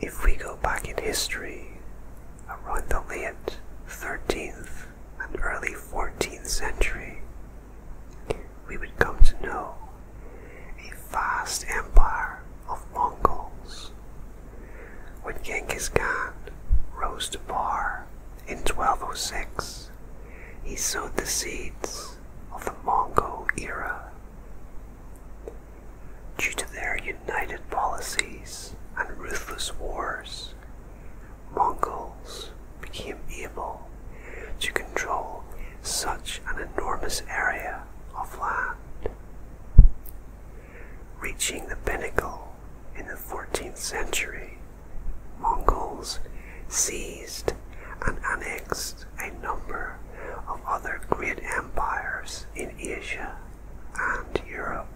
If we go back in history, around the late 13th and early 14th century, we would come to know a vast empire of Mongols. When Genghis Khan rose to power in 1206, he sowed the seeds of the Mongol era. Due to their united policies and ruthless wars, Mongols became able to control such an enormous area of land. Reaching the pinnacle in the 14th century Mongols seized and annexed a number of other great empires in Asia and Europe.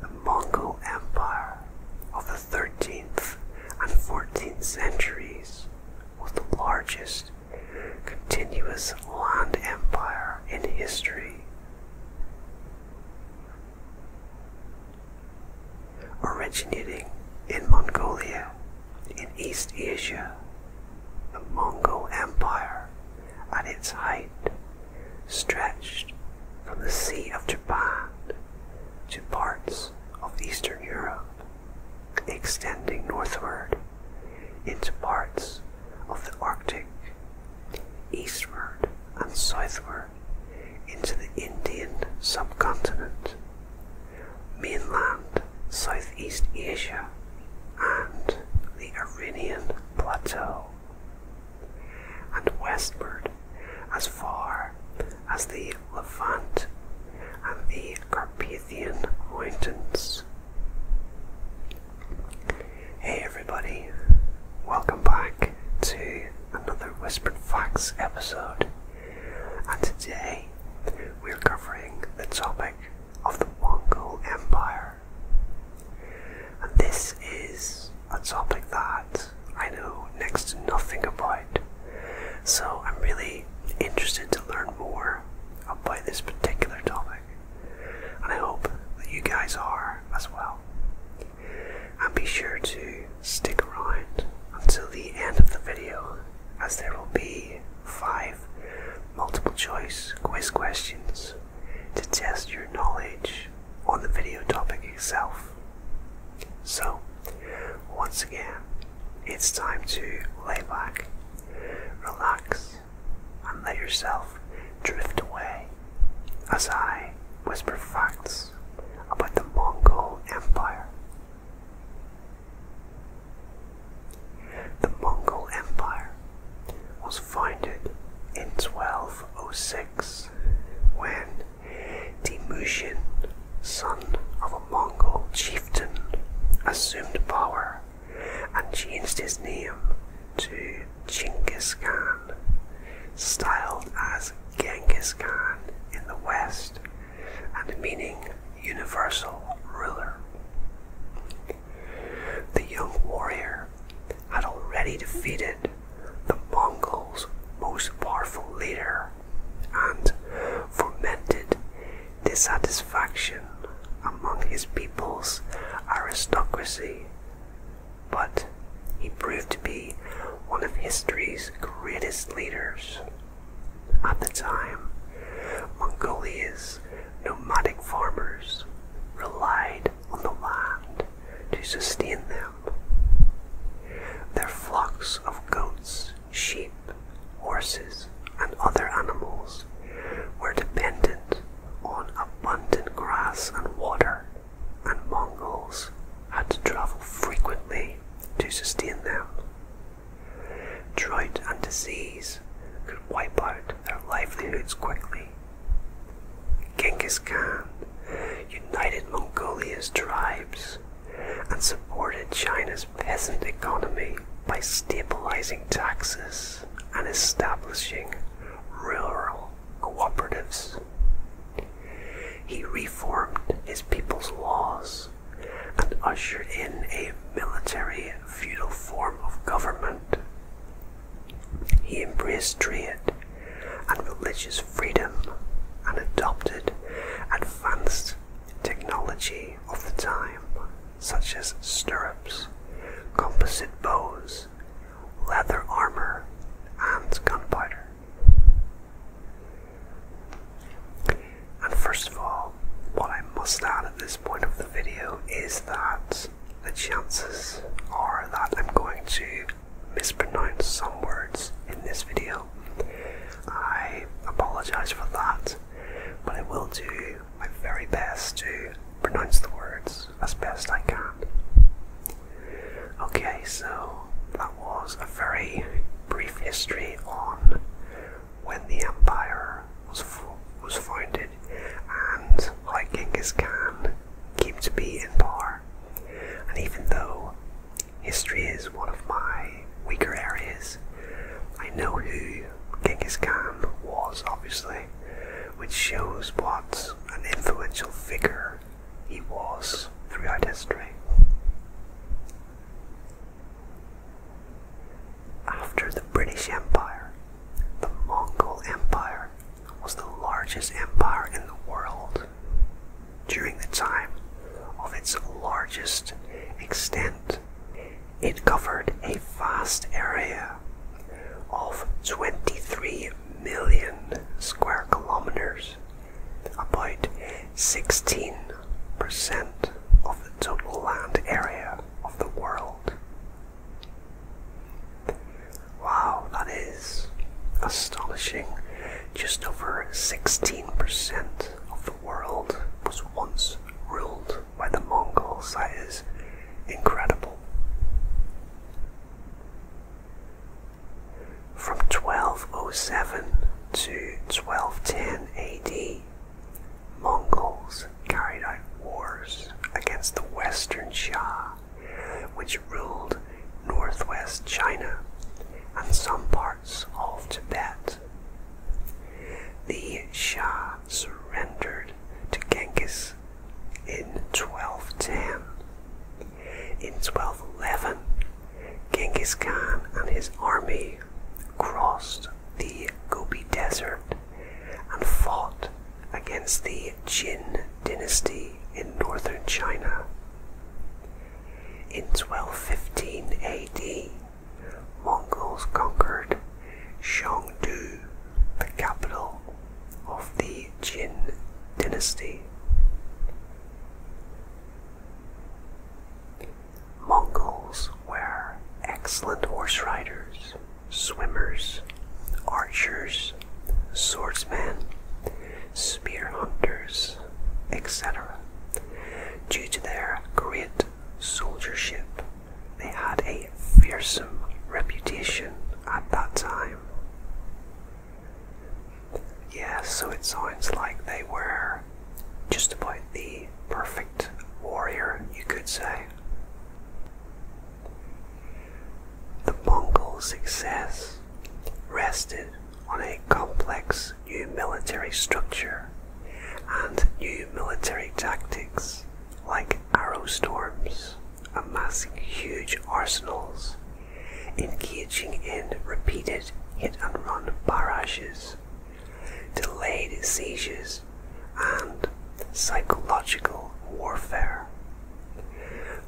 The Mongol Empire of the 13th and 14th centuries was the largest continuous land empire in history. Originating in Mongolia, in East Asia, the Mongol Empire at its height stretched from the Sea of Japan to parts of Eastern Europe, extending northward into parts of the Arctic, eastward and southward into the Indian subcontinent, mainland Southeast Asia, and the Iranian plateau, and westward as far as the Levant and the Carpathian Mountains. Hey everybody, welcome back to another Whispered Facts episode, and today we're covering the topic of the Mongol Empire. And this is a topic that I know next to nothing about, so I'm really interested to learn more about this particular topic, and I hope that you guys are as well and be sure to stick around until the end of the video as there will be five multiple choice quiz questions to test your knowledge on the video topic itself. So, once again, it's time to lay back, relax, and let yourself drift away as I whisper facts about the Mongol Empire. The Mongol Empire was founded in 1206 when Temujin, son of a Mongol chieftain, assumed power and changed his name to Chinggis Khan, styled as Genghis Khan in the West and meaning universal ruler. The young warrior had already defeated the Mongols' most powerful leader and fomented dissatisfaction among his people's aristocracy, but he proved to be one of history's greatest leaders. At the time, Mongolia's nomadic farmers relied on the land to sustain them. Their flocks of goats, sheep, horses, and other animals were dependent on abundant grass and water and Mongols had to travel frequently to sustain them. Drought and disease could wipe out their livelihoods quickly. Genghis Khan united Mongolia's tribes and supported China's peasant economy by stabilizing taxes and establishing rural cooperatives. He reformed his people's laws and ushered in a military feudal form of government. He embraced trade and religious freedom and adopted advanced technology of the time, such as stirrups, composite bows, leather armor, and gunpowder. And first of all, what I must add at this point of the video is that the chances are that I'm going to mispronounce some words in this video. I apologize for that, but I will do my very best to pronounce the words as best I can. Okay, so that was a very brief history on when the empire was was founded and how Genghis Khan came to be in power. And even though history is one of my weaker areas, I know who Genghis Khan was, obviously, which shows what an influential figure he was throughout history. After the British Empire, the Mongol Empire was the largest empire in the world during the time of its largest extent. It covered a vast area of 23 million square kilometers about 16% of the total land area of the world. Wow, that is astonishing. Just over 16% of the world was once ruled by the Mongols. That is incredible from 1207 to 1210 AD, Mongols carried out wars against the Western Shah, which ruled northwest China and some parts of Tibet. The Shah surrendered to Genghis in 1210, in 1211, Genghis Khan and his army crossed the Gobi Desert and fought against the Jin dynasty in northern China. In 1215 AD, Mongols conquered Chengdu, the capital of the Jin dynasty. Mongols were excellent horse riders, swimmers, archers, swordsmen, spear hunters, etc. Due to their great soldiership, they had a fearsome reputation at that time. Yes, so it sounds like they were just about the perfect warrior, you could say. The Mongol success rested on a complex new military structure and new military tactics like arrow storms, amassing huge arsenals engaging in repeated hit and run barrages, delayed seizures, and psychological warfare.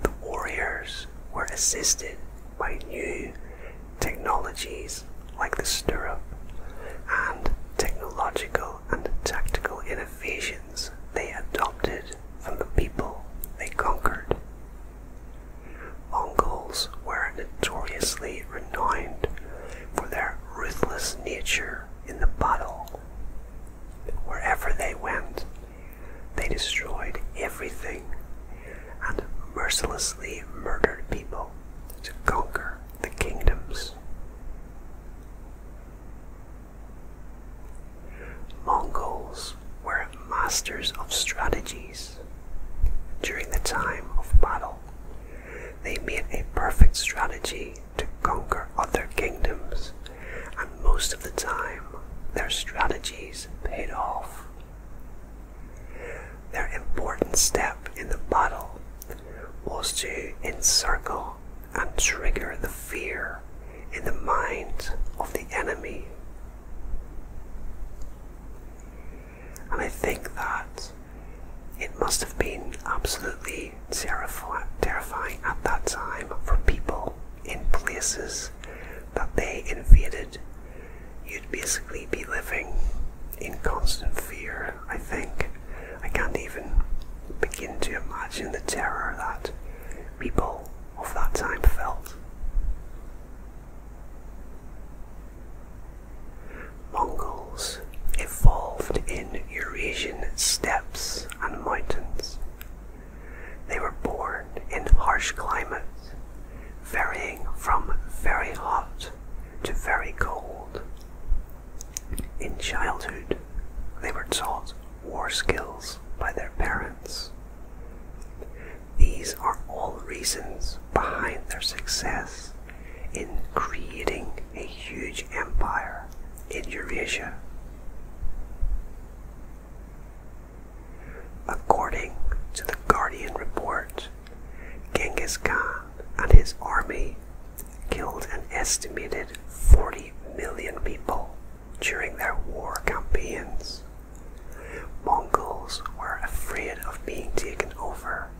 The warriors were assisted by new technologies like the stirrup and technological and tactical innovations they adopted from the people they conquered. Mongols were notoriously renowned for their ruthless nature in the battle. Wherever they went, they destroyed everything and mercilessly murdered people to conquer the kingdoms. Mongols were masters of strategies during the time of battle, they made a perfect strategy to conquer other kingdoms, and most of the time their strategies paid off. Their important step in the battle was to encircle and trigger the fear in the mind of the enemy and I think that it must have been absolutely terrifying at that time for people in places that they invaded. You'd basically be living in constant fear, I think. I can't even begin to imagine the terror that people of that time felt. Mongols evolved in Eurasian steppes and mountains. They were born in harsh climates, varying from very hot to very cold. In childhood, they were taught war skills by their parents. These are all reasons behind their success in creating a huge empire in Eurasia. According to the Guardian report, Genghis Khan and his army killed an estimated 40 million people during their war campaigns Mongols were afraid of being taken over,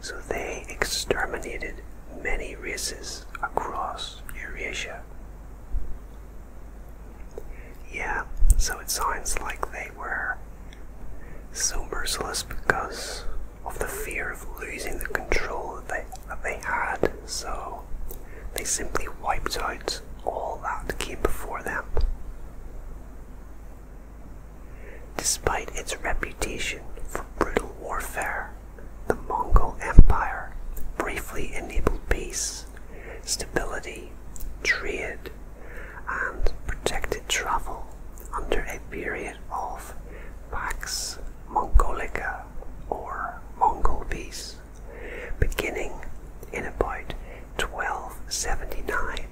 so they exterminated many races across Eurasia. Yeah, so it sounds like they were so merciless because of the fear of losing the control that they, that they had, so they simply wiped out all that came before them. Despite its reputation for brutal warfare, the Mongol Empire briefly enabled peace, stability, trade, and protected travel under a period of Pax Mongolica or Mongol peace, beginning in about 1279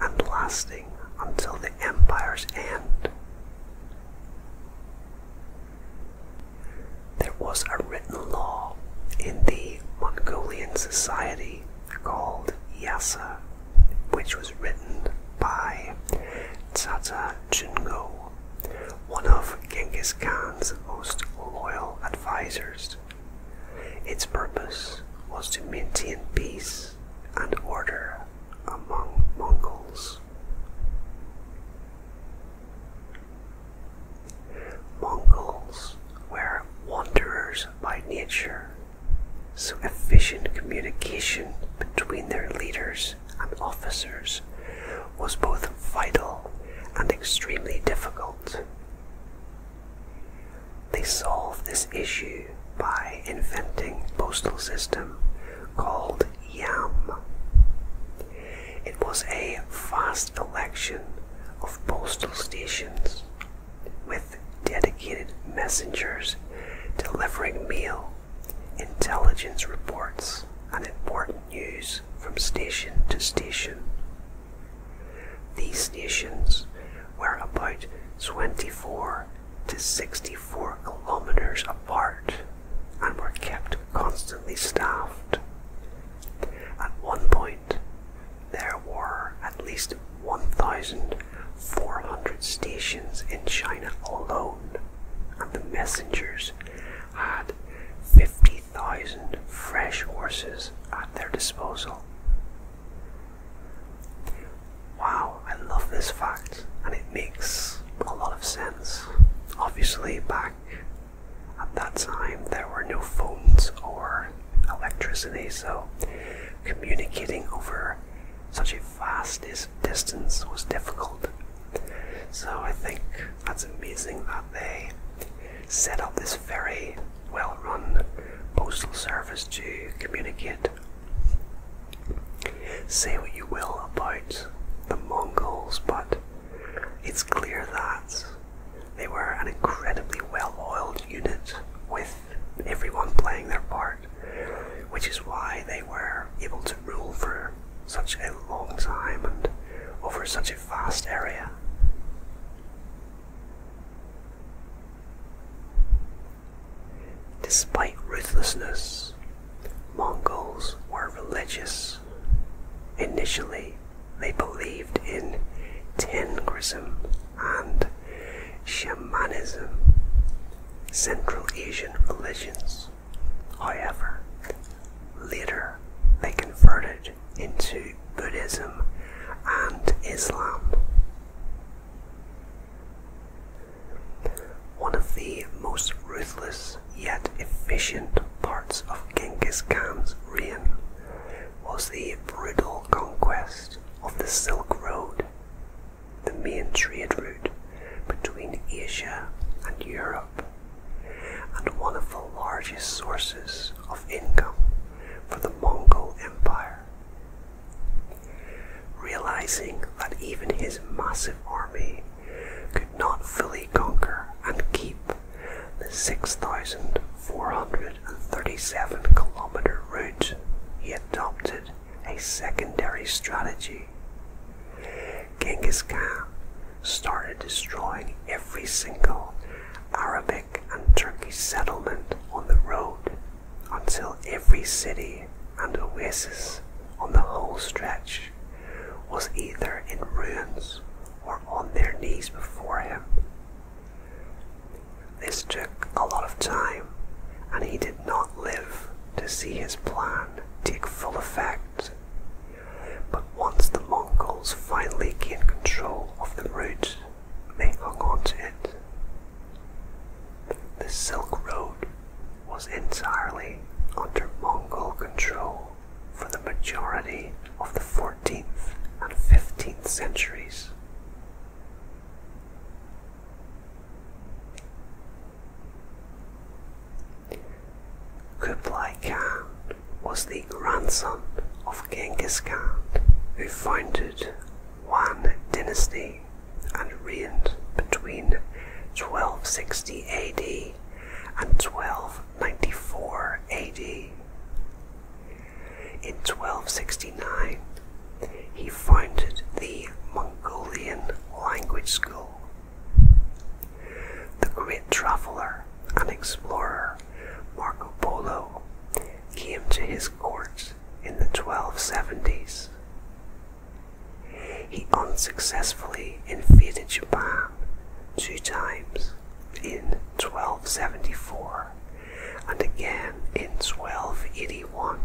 and lasting until the empire's end. There was a written law in the Mongolian society called Yasa, which was written by Tata Jungo, one of Genghis Khan's most loyal advisors its purpose was to maintain peace and order among Mongols. Mongols were wanderers by nature, so efficient communication between their leaders and officers was both vital and extremely difficult. They solved this issue by inventing a postal system called YAM. It was a vast collection of postal stations with dedicated messengers delivering mail, intelligence reports, and important news from station to station. These stations were about 24 to 64 kilometers apart and were kept constantly staffed. At one point, there were at least 1,400 stations in China alone, and the messengers had 50,000 fresh horses at their disposal. Wow, I love this fact, and it makes a lot of sense. Obviously, back at that time, there were no phones or electricity, so communicating over such a vast distance was difficult. So, I think that's amazing that they set up this ferry well run postal service to communicate. Say what you will about the Mongols, but it's clear that they were an incredibly well oiled unit with everyone playing their part, which is why they were able to rule for such a long time and over such a vast area. Despite ruthlessness, Mongols were religious. Initially, they believed in Tengrism and shamanism, Central Asian religions. However, later they converted into Buddhism and Islam. One of the most ruthless yet efficient parts of Genghis Khan's reign was the brutal conquest of the Silk Road, the main trade route between Asia and Europe, and one of the largest sources of income for the Mongol Empire. Realizing that even his massive army could not fully conquer and keep the 6,437 kilometer route, he adopted a secondary strategy. Genghis Khan started destroying every single Arabic and Turkish settlement on the road until every city and oasis on the whole stretch was either in ruins or on their knees before him. This took a lot of time, and he did not live to see his plan take full effect. But once the Mongols finally gained control of the route may hung on to it. The Silk Road was entirely under Mongol control for the majority of the 14th and 15th centuries. Kublai Khan was the grandson of Genghis Khan, who founded Wan dynasty and reigned between 1260 AD and 1294 AD. In 1269, he founded the Mongolian language school. The great traveler and explorer Marco Polo came to his court in the 1270s. He unsuccessfully invaded Japan two times in 1274 and again in 1281.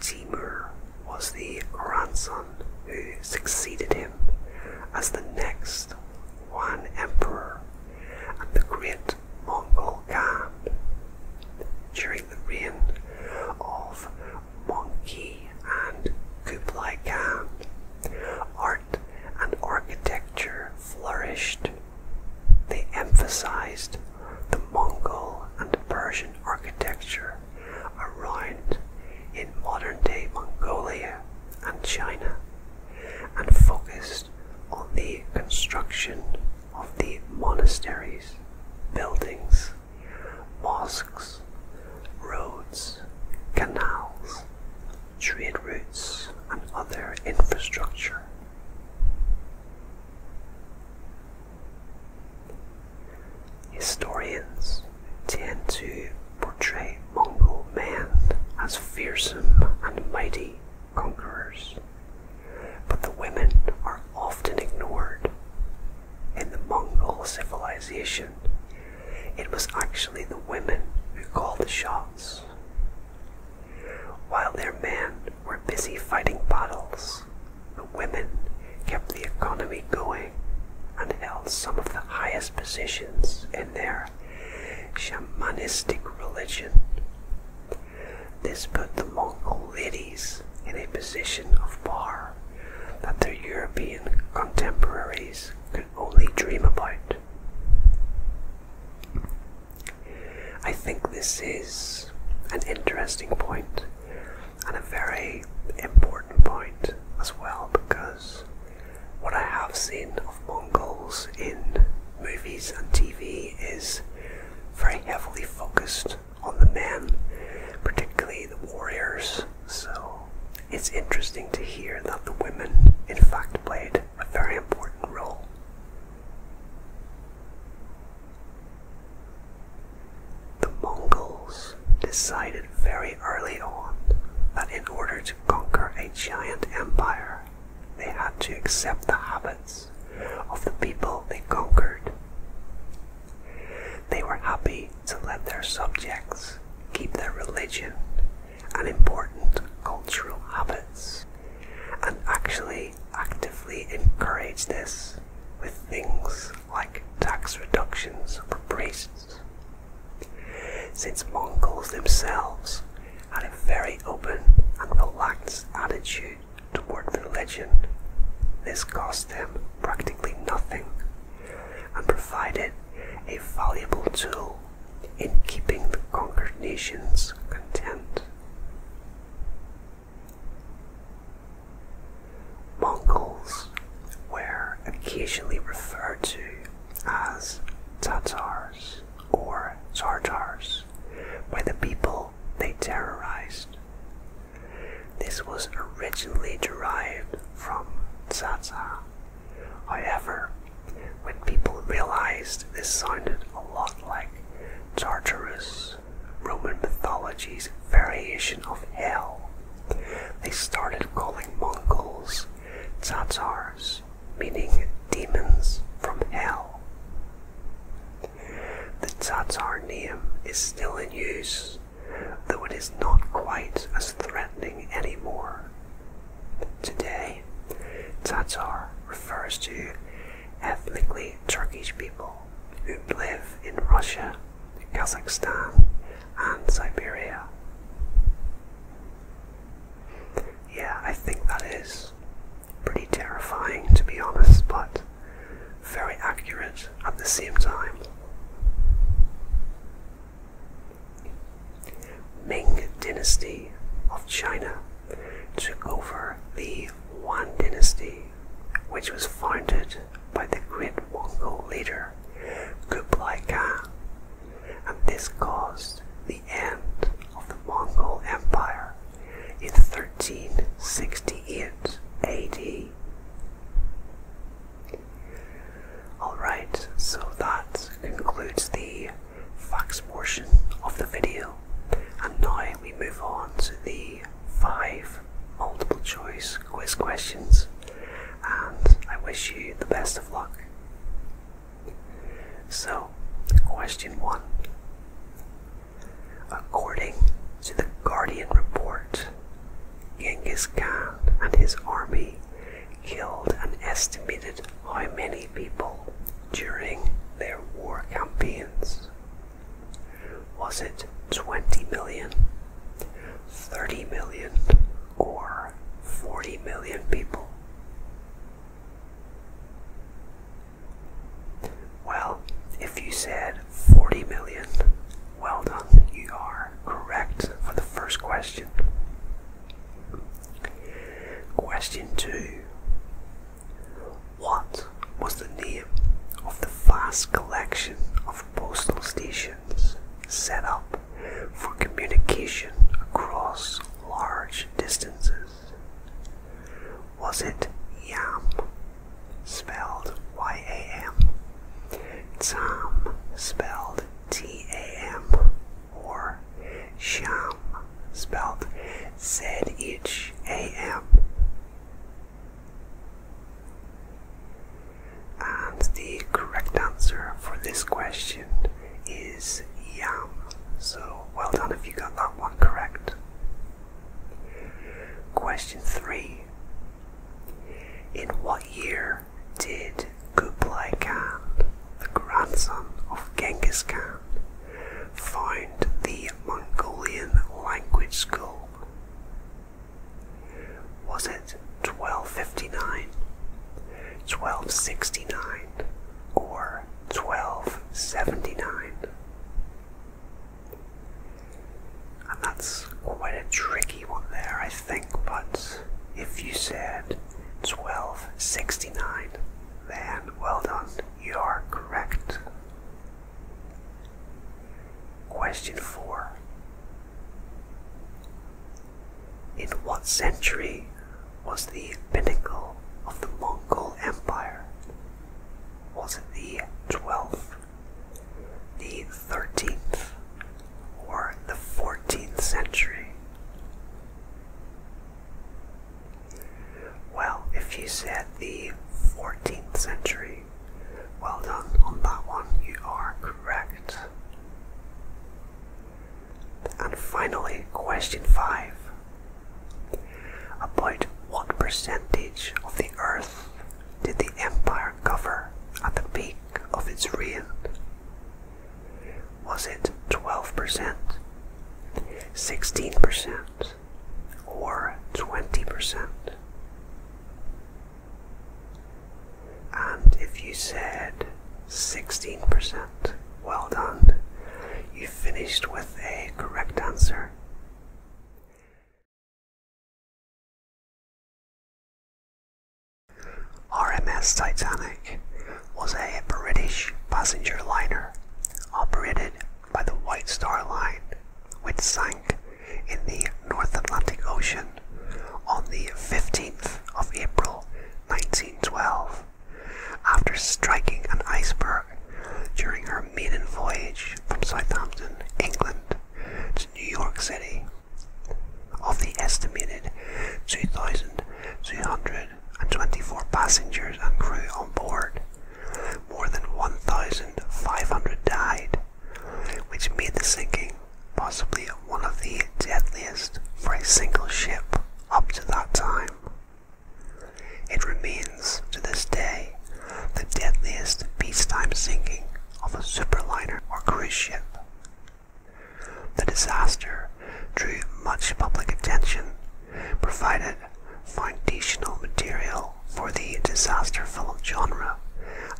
Timur was the grandson who succeeded him as the next Wan emperor and the great Mongol Khan, During the reign of Mongke and Kublai Khan, art and architecture flourished. They emphasized the Mongol and Persian architecture around in modern day Mongolia and China and focused on the construction of the monasteries, buildings, mosques, roads, canals, trade routes, and other infrastructure. Historians tend to portray Mongol men as fearsome and mighty conquerors. But the women are often ignored. In the Mongol civilization, it was actually the women who called the shots. While their men were busy fighting battles, the women kept the economy going and held some of the highest positions in their shamanistic religion. This put the Mongol ladies in a position of power that their European contemporaries could only dream about. I think this is an interesting point and a very important point as well because what I have seen of Mongols in movies and TV is very heavily focused on the men, particularly the warriors. So it's interesting to hear that the women, in fact, played a very important role. The Mongols decided very early on that in order to conquer a giant empire, they had to accept the habits of the people they conquered. They were happy to let their subjects keep their religion and important cultural habits, and actually actively encourage this with things like tax reductions for priests. Since Mongols themselves had a very open and relaxed attitude toward religion. This cost them practically nothing and provided a valuable tool in keeping the conquered nations content. Mongols were occasionally referred to as Tatars or Tartars by the people they terrorized. This was originally derived from Tsatsar. However, when people realized this sounded a lot like Tartarus, Roman mythology's variation of hell, they started calling Mongols Tatars meaning demons from hell. The Tatar name is still in use, though it is not quite as threatening anymore. Today, Tatar refers to ethnically Turkish people who live in Russia, Kazakhstan, and Siberia yeah, I think that is pretty terrifying to be honest, but very accurate at the same time. Ming Dynasty of China took over the Yuan Dynasty, which was founded by the great Mongol leader Kublai Khan, and this caused the end of the Mongol Empire in 1368 AD. Alright, so that concludes the facts portion of the video, and now we move on to the five multiple choice quiz questions, and I wish you the best of luck. So, question one According to the Guardian report, Genghis Khan and his army killed an estimated how many people during their war campaigns? Was it 20 million, 30 million, or 40 million people? Well, if you said 40 million, well done, you are correct for the first question. Question 2 What was the name of the vast collection of postal stations set up for communication across large distances? Was it Yam, spelled Y-A-M, Tam, spelled T-A-M, or Sham, spelled Z-H-A-M? And the correct answer for this question is Yam. So well done if you got that one correct. Question 3. In what year did Kublai Khan, the grandson of Genghis Khan, found the Mongolian language school? Was it 1259, 1269, or 1279. And that's quite a tricky one there, I think, but if you said 1269, then well done, you are correct. Question 4. In what century was the pinnacle of the Mongol Empire was it the 12th, the 13th, or the 14th century? Well, if you said the 14th century, well done on that one, you are correct. And finally, question 5. About what percentage of the earth did the empire cover at the peak of its reign? Was it 12%, 16%, or 20%? And if you said 16%, well done. You finished with a correct answer are. RMS Titanic was a British passenger liner operated by the White Star Line, which sank in the North Atlantic Ocean on the 15th of April 1912 after striking an iceberg during her maiden voyage from Southampton, England to New York City. Of the estimated two thousand three hundred and twenty-four passengers and crew on board, more than 1,500 died, which made the sinking possibly one of the deadliest for a single ship up to that time. It remains to this day the deadliest peacetime sinking of a superliner or cruise ship. The disaster drew much public attention, provided foundational material for the disaster film genre,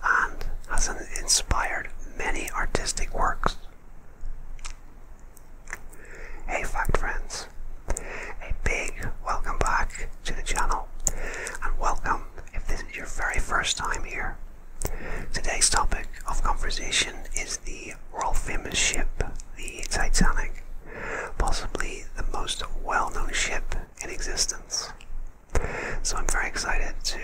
and has inspired many artistic works. Hey, fact friends, a big welcome back to the channel, and welcome if this is your very first time here. Today's topic of conversation is the world famous ship, the Titanic, possibly the most well known ship in existence. So I'm very excited to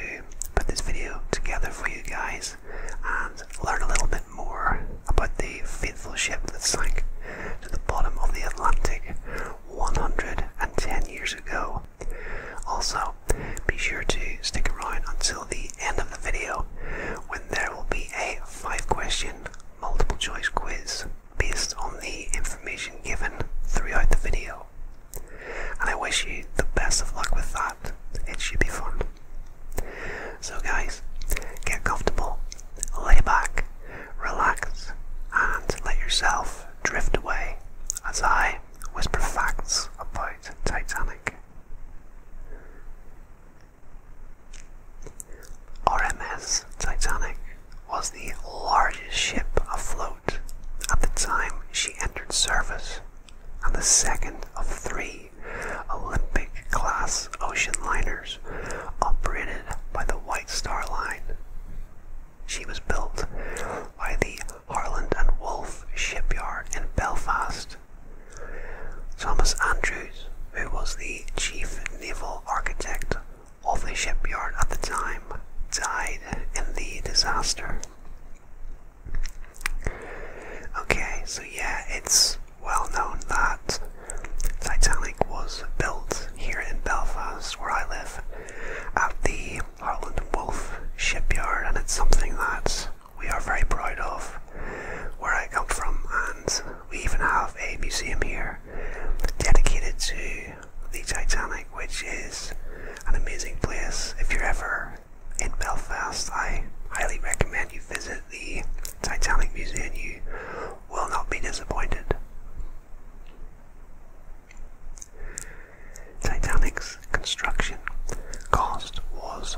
put this video together for you guys and learn a little bit more about the faithful ship that sank to the bottom of the Atlantic 110 years ago. Also, be sure to stick around until the end of the video when there will be a five question multiple choice quiz based on the information given throughout the video. And I wish you the best of luck with that. It should be fun. So, guys, get comfortable, lay back, relax, and let yourself drift away as I whisper facts about Titanic. RMS Titanic was the largest ship afloat at the time she entered service and the second of three Olympic class ocean liners operated by the White Star Line. She was built by the Harland and Wolff shipyard in Belfast. Thomas Andrews, who was the chief naval architect of the shipyard at the time, died in the disaster. Okay, so yeah, it's well known that Titanic was built here in Belfast, where I live, at the Harland Wolff shipyard, and it's something that we are very proud of where I come from, and we even have a museum here dedicated to the Titanic, which is an amazing place. If you're ever in Belfast, I highly recommend you visit the Titanic Museum. You will not be disappointed. Titanic's construction cost was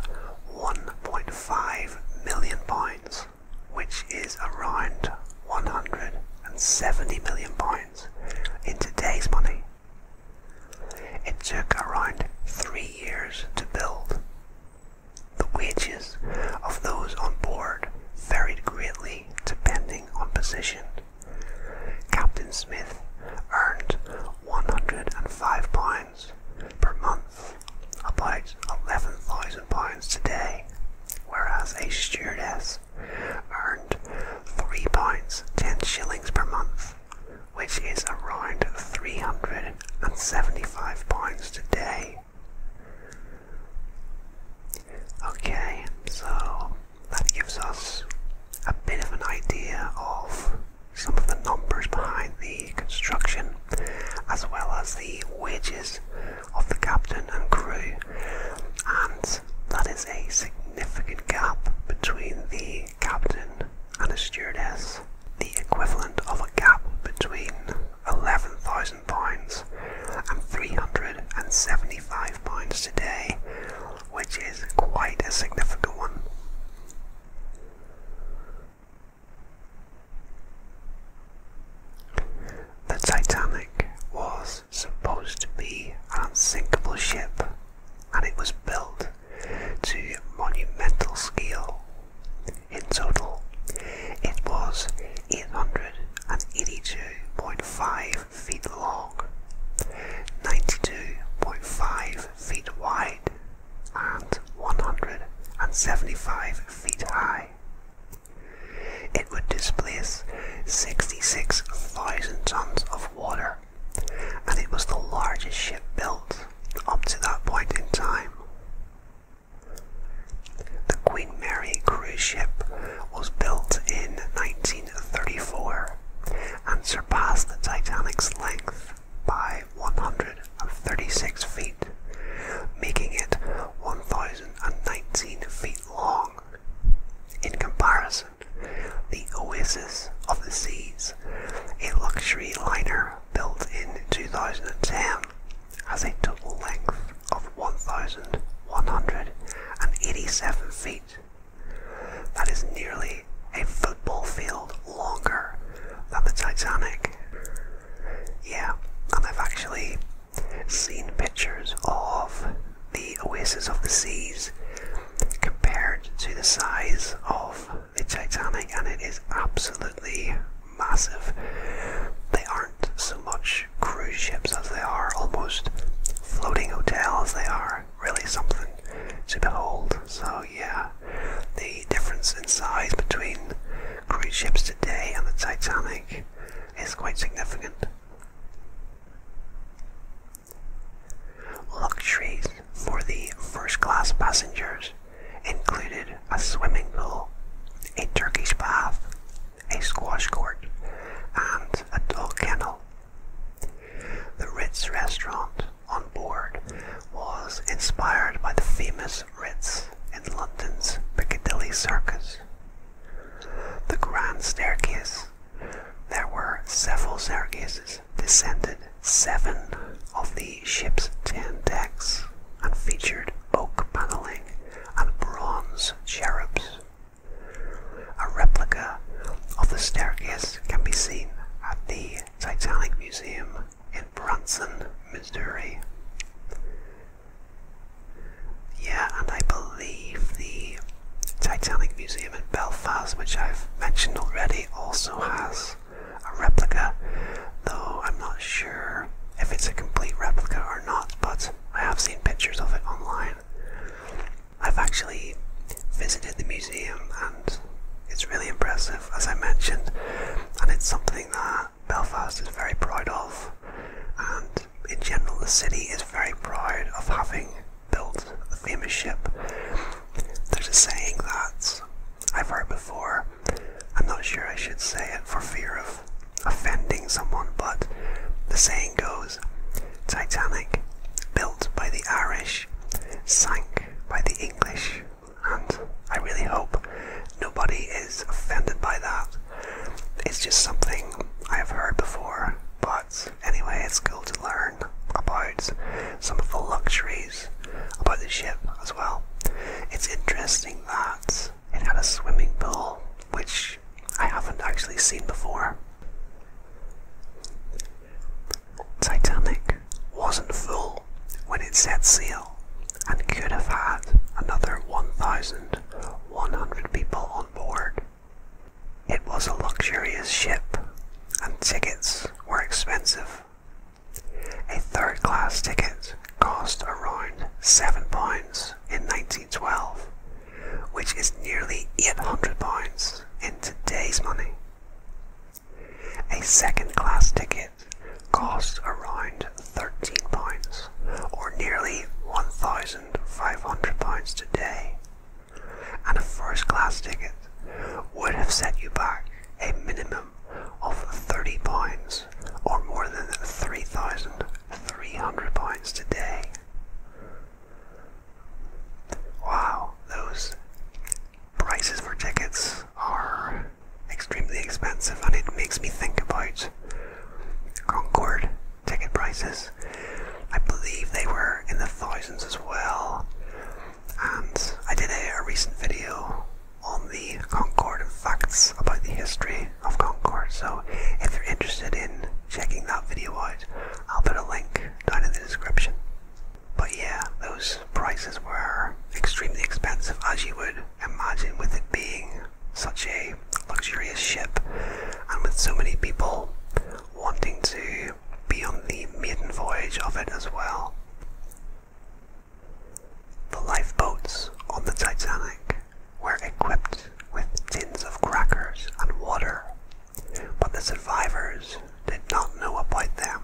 1.5 million pounds, which is around 170 million pounds in today's money. It took around three years to build, the wages of those on board varied greatly depending on position. Captain Smith earned £105 per month, about £11,000 today, whereas a stewardess earned £3.10 shillings per month, which is around £375 today. Okay, so that gives us a bit of an idea of some of the numbers behind the construction, as well as the wages of the captain and crew, and that is a significant gap between the captain and the stewardess, the equivalent of a gap between £11,000 and £375 today, which is quite a significant one. The Titanic was supposed to be an unsinkable ship and it was built to monumental scale in total. It was 882.5 feet long, 92.5 feet wide, and 175 feet high. It would displace 66,000 tons of water, and it was the largest ship built up to that point in time. The Queen Mary cruise ship was built in 1934 and surpassed the Titanic's length by 136 feet, making it 1,019 feet long. In comparison, the Oasis of the Seas, a luxury liner built in 2010, has a total length of 1,187 feet. That is nearly a football field longer than the Titanic. Yeah, and I've actually seen pictures of the Oasis of the Seas compared to the size of the Titanic, and it is absolutely massive. They aren't so much cruise ships as they are almost floating hotels. They are really something to behold. So yeah, the difference in size between cruise ships today and the Titanic is quite significant. Luxuries for the first class passengers included a swimming pool, a Turkish bath, a squash court, and a dog kennel. The Ritz restaurant on board was inspired by the famous Ritz in London's Piccadilly Circus. The grand staircase. There were several staircases descended seven of the ship's ten decks and featured oak paneling and bronze cherubs. A replica of the staircase can be seen at the Titanic Museum in Branson, Missouri. Yeah, and I believe the Titanic Museum in Belfast, which I've mentioned already, also has a replica, though I'm not sure if it's a complete replica or not, but I have seen pictures of it online. I've actually visited the museum and it's really impressive, as I mentioned, and it's something that Belfast is very proud of. And in general, the city is very proud of having built a famous ship. There's a saying that I've heard before, I'm not sure I should say it for fear of offending someone, but the saying goes Titanic, built by the Irish, sank by the English, and I really hope nobody is offended by that. It's just something I have heard before, but anyway, it's good to learn about some of the luxuries about the ship as well. It's interesting that it had a swimming pool, which I haven't actually seen before. Titanic wasn't full when it set sail and could have had another 1,100 people on board. It was a luxurious ship and tickets were expensive. A third class ticket cost around £7 in 1912, which is nearly £800 in today's money. A second class ticket costs around £13, or nearly £1,500 today, and a first class ticket would have set you back a minimum of £30, or more than 3000 300 points today. Wow, those prices for tickets are extremely expensive, and it makes me think about Concord ticket prices. I believe they were in the thousands as well. And I did a, recent video on the Concord facts about the history of Concord. So if you're interested in checking that video out, I'll put a link down in the description. But yeah, those prices were extremely expensive as you would imagine with it being such a luxurious ship and with so many people wanting to be on the maiden voyage of it as well. The lifeboats on the Titanic were equipped with tins of crackers and water. But the survivors did not know about them,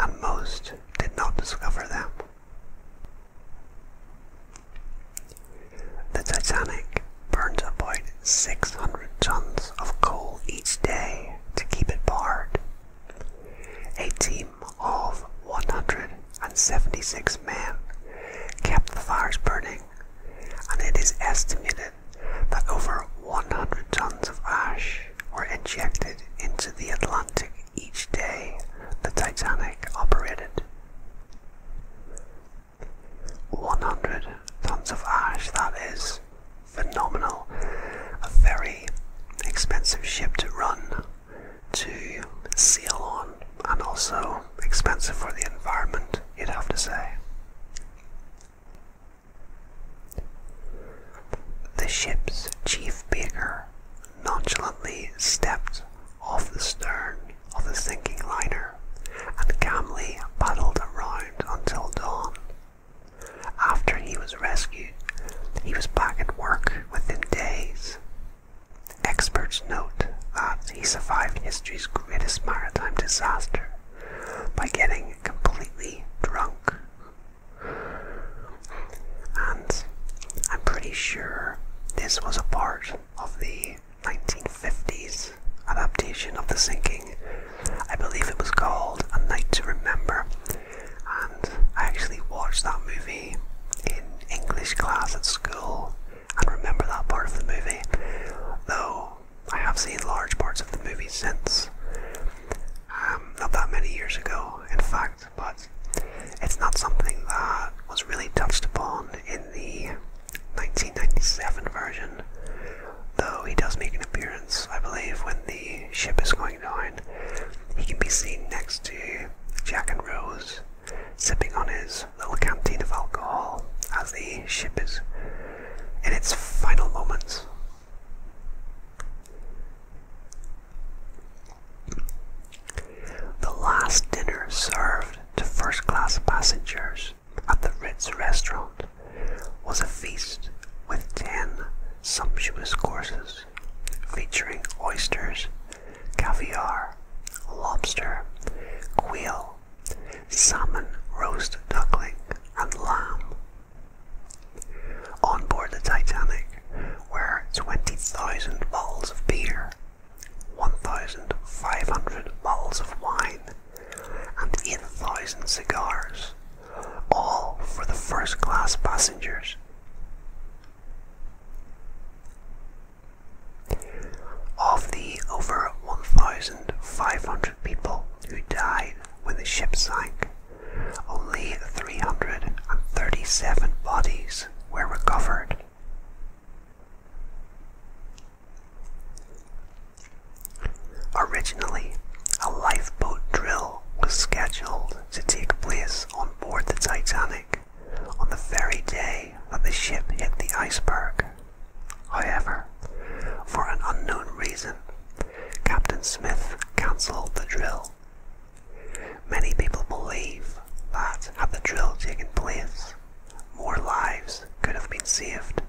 and most did not discover them. The Titanic burned about 600 tons of coal each day to keep it barred. A team of 100 and 76 men kept the fires burning, and it is estimated that over 100 tons of ash were injected into the Atlantic each day the Titanic operated. 100 tons of ash, that is phenomenal. A very expensive ship to run, to sail on, and also expensive for the environment, you'd have to say. The ship's chief baker nonchalantly stepped off the stern of the sinking liner and calmly paddled around until dawn. After he was rescued, he was back at work within days, Experts note that he survived history's greatest maritime disaster by getting completely drunk. And I'm pretty sure this was a part of the 1950s adaptation of The Sinking. I believe it was called A Night to Remember, and I actually watched that movie in English class at school and remember that part of the movie, though I have seen large parts of the movie since. Um, not that many years ago, in fact, but it's not something that was really touched upon in the 1997 version, though he does make an appearance, I believe, when the ship is going down. He can be seen next to Jack and Rose sipping on his little canteen of alcohol as the ship is in its final moments. The last dinner served to first class passengers at the Ritz restaurant was a feast with ten sumptuous courses featuring oysters, caviar, lobster, quail, salmon roast duckling, and lamb. On board the Titanic were 20,000 bottles of beer, 1,500 bottles of wine, and 8,000 cigars, all for the first class passengers. Of the over 1,500 people who died when the ship sank, only 337 bodies were recovered. Originally, a lifeboat drill was scheduled to take place on board the Titanic on the very day that the ship hit the iceberg. However, for an unknown reason, Captain Smith cancelled the drill. Many people believe that had the drill taken place, more lives could have been saved.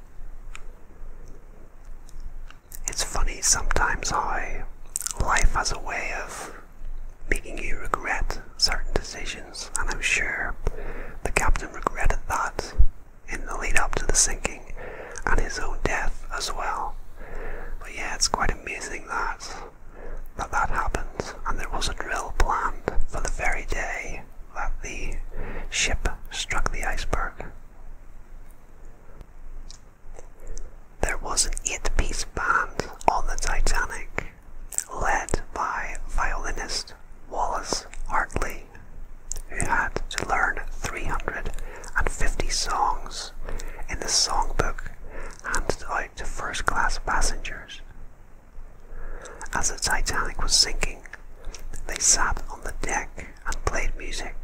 It's funny sometimes how life has a way of making you regret certain decisions and I'm sure the captain regretted that in the lead up to the sinking and his own death as well. But yeah, it's quite amazing that that, that happened, and there was a drill planned for the very day that the ship struck the iceberg. There was an eight piece band on the Titanic led by violinist Wallace Hartley, who had to learn 350 songs in the songbook handed out to first class passengers. As the Titanic was sinking, they sat on the deck and played music,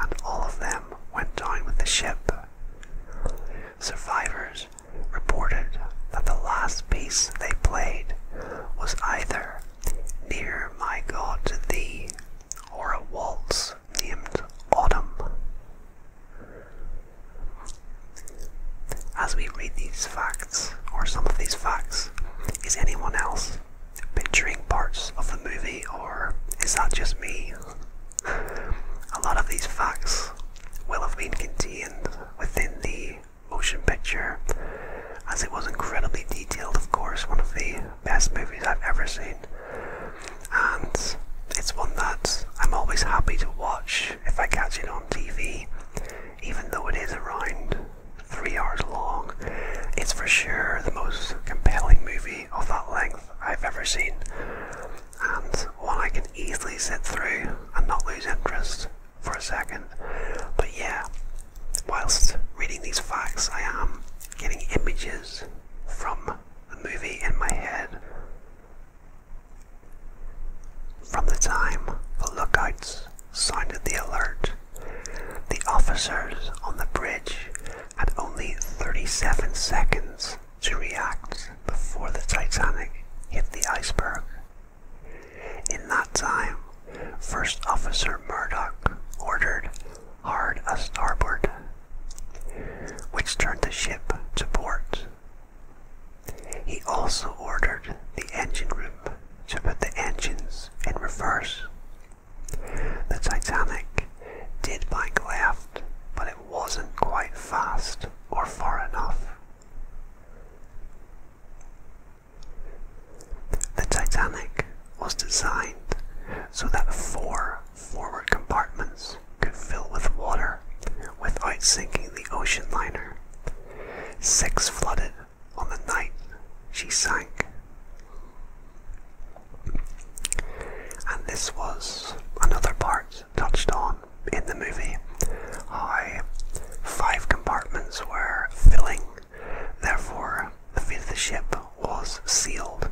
and all of them went down with the ship. Survivors reported that the last piece they played was either Near My God to Thee or a waltz named Autumn. As we read these facts, or some of these facts, is anyone else picturing parts of the movie, or is that just me? A lot of these facts will have been contained within the motion picture, as it was incredibly detailed, of course, one of the best movies I've ever seen. And it's one that I'm always happy to watch if I catch it on TV, even though it is around three hours long. It's for sure the most compelling movie of that length I've ever seen, and one I can easily sit through and not lose interest for a second. But yeah, whilst reading these facts, I am getting images from the movie in my head. From the time the lookouts sounded the alert, the officers on the bridge had only 37 seconds to react before the Titanic hit the iceberg in that time, First Officer Murdoch ordered hard a starboard, which turned the ship to port. He also ordered the engine room to put the engines in reverse. The Titanic did bank left, but it wasn't quite fast or far enough. The Titanic was designed so that four forward compartments could fill with water without sinking the ocean liner. Six flooded on the night she sank. And this was another part touched on in the movie, five compartments were filling, therefore the fate of the ship was sealed.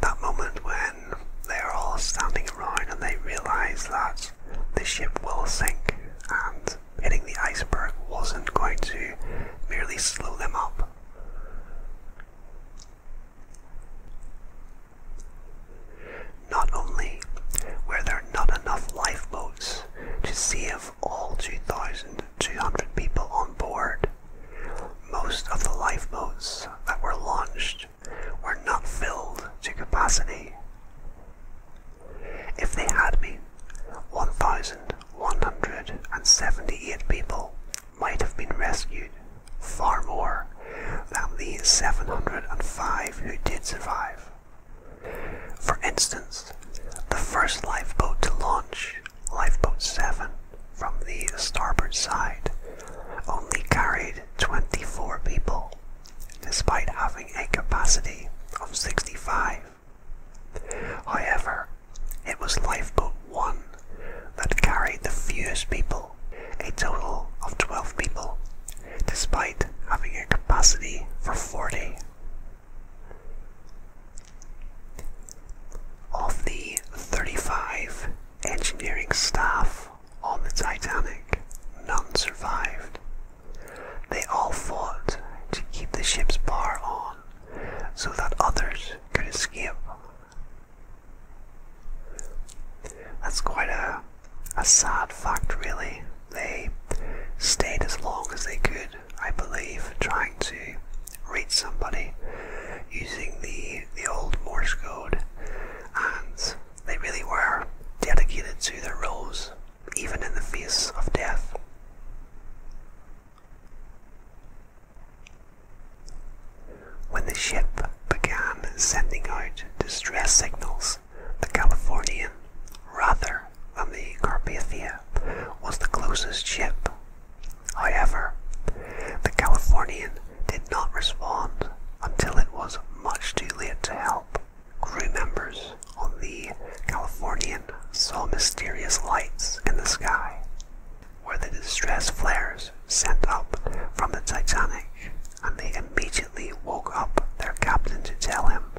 That moment when they're all standing around and they realise that the ship will sink and hitting the iceberg wasn't going to merely slow them up. Not only were there not enough lifeboats to save all 2,200 people on board, most of the lifeboats that were launched were not filled to capacity. If they had been, 1,178 people might have been rescued, far more than the 705 who did survive. For instance, the first lifeboat to launch, Lifeboat 7, from the starboard side, only carried 24 people, despite having a capacity of 65. However, it was Lifeboat 1 that carried the fewest people, a total of 12 people, despite having a capacity for 40. Of the 35 engineering staff on the Titanic, none survived. They all fought to keep the ship's bar on so that others could escape. That's quite a a sad fact, really. They stayed as long as they could, I believe, trying to reach somebody using the, the old Morse code, and they really were dedicated to their roles, even in the face of death. When the ship began sending out distress signals, the Californian, rather than the Carpathia, was the closest ship. However, the Californian did not respond until it was much too late to help. Crew members on the Californian saw mysterious lights in the sky, were the distress flares sent up from the Titanic, and they immediately woke up their captain to tell him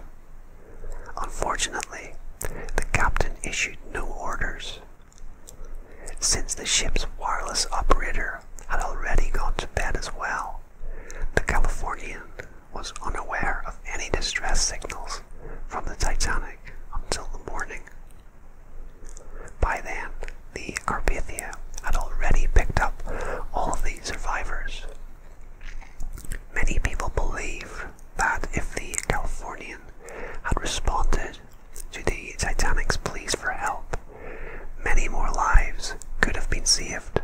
Unfortunately, the captain issued no orders. Since the ship's wireless operator had already gone to bed as well, the Californian was unaware of any distress signals from the Titanic until the morning. By then, the Carpathia had already picked up all of the survivors, Many people believe that if the Californian had responded to the Titanic's pleas for help, many more lives could have been saved.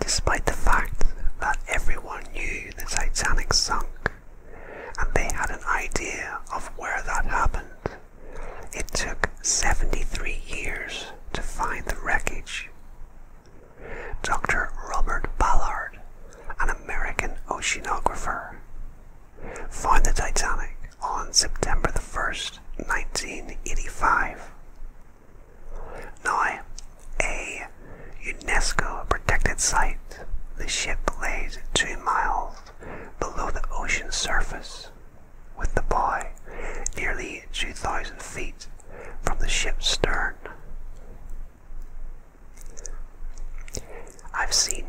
Despite the fact that everyone knew the Titanic sunk, and they had an idea of where that happened, it took 73 years to find the wreckage. Dr. Robert Ballard, an American oceanographer, found the Titanic on September the 1st, 1985. Now, a UNESCO protected site, the ship lays two miles below the ocean surface with the boy, nearly 2,000 feet from the ship's stern. I've seen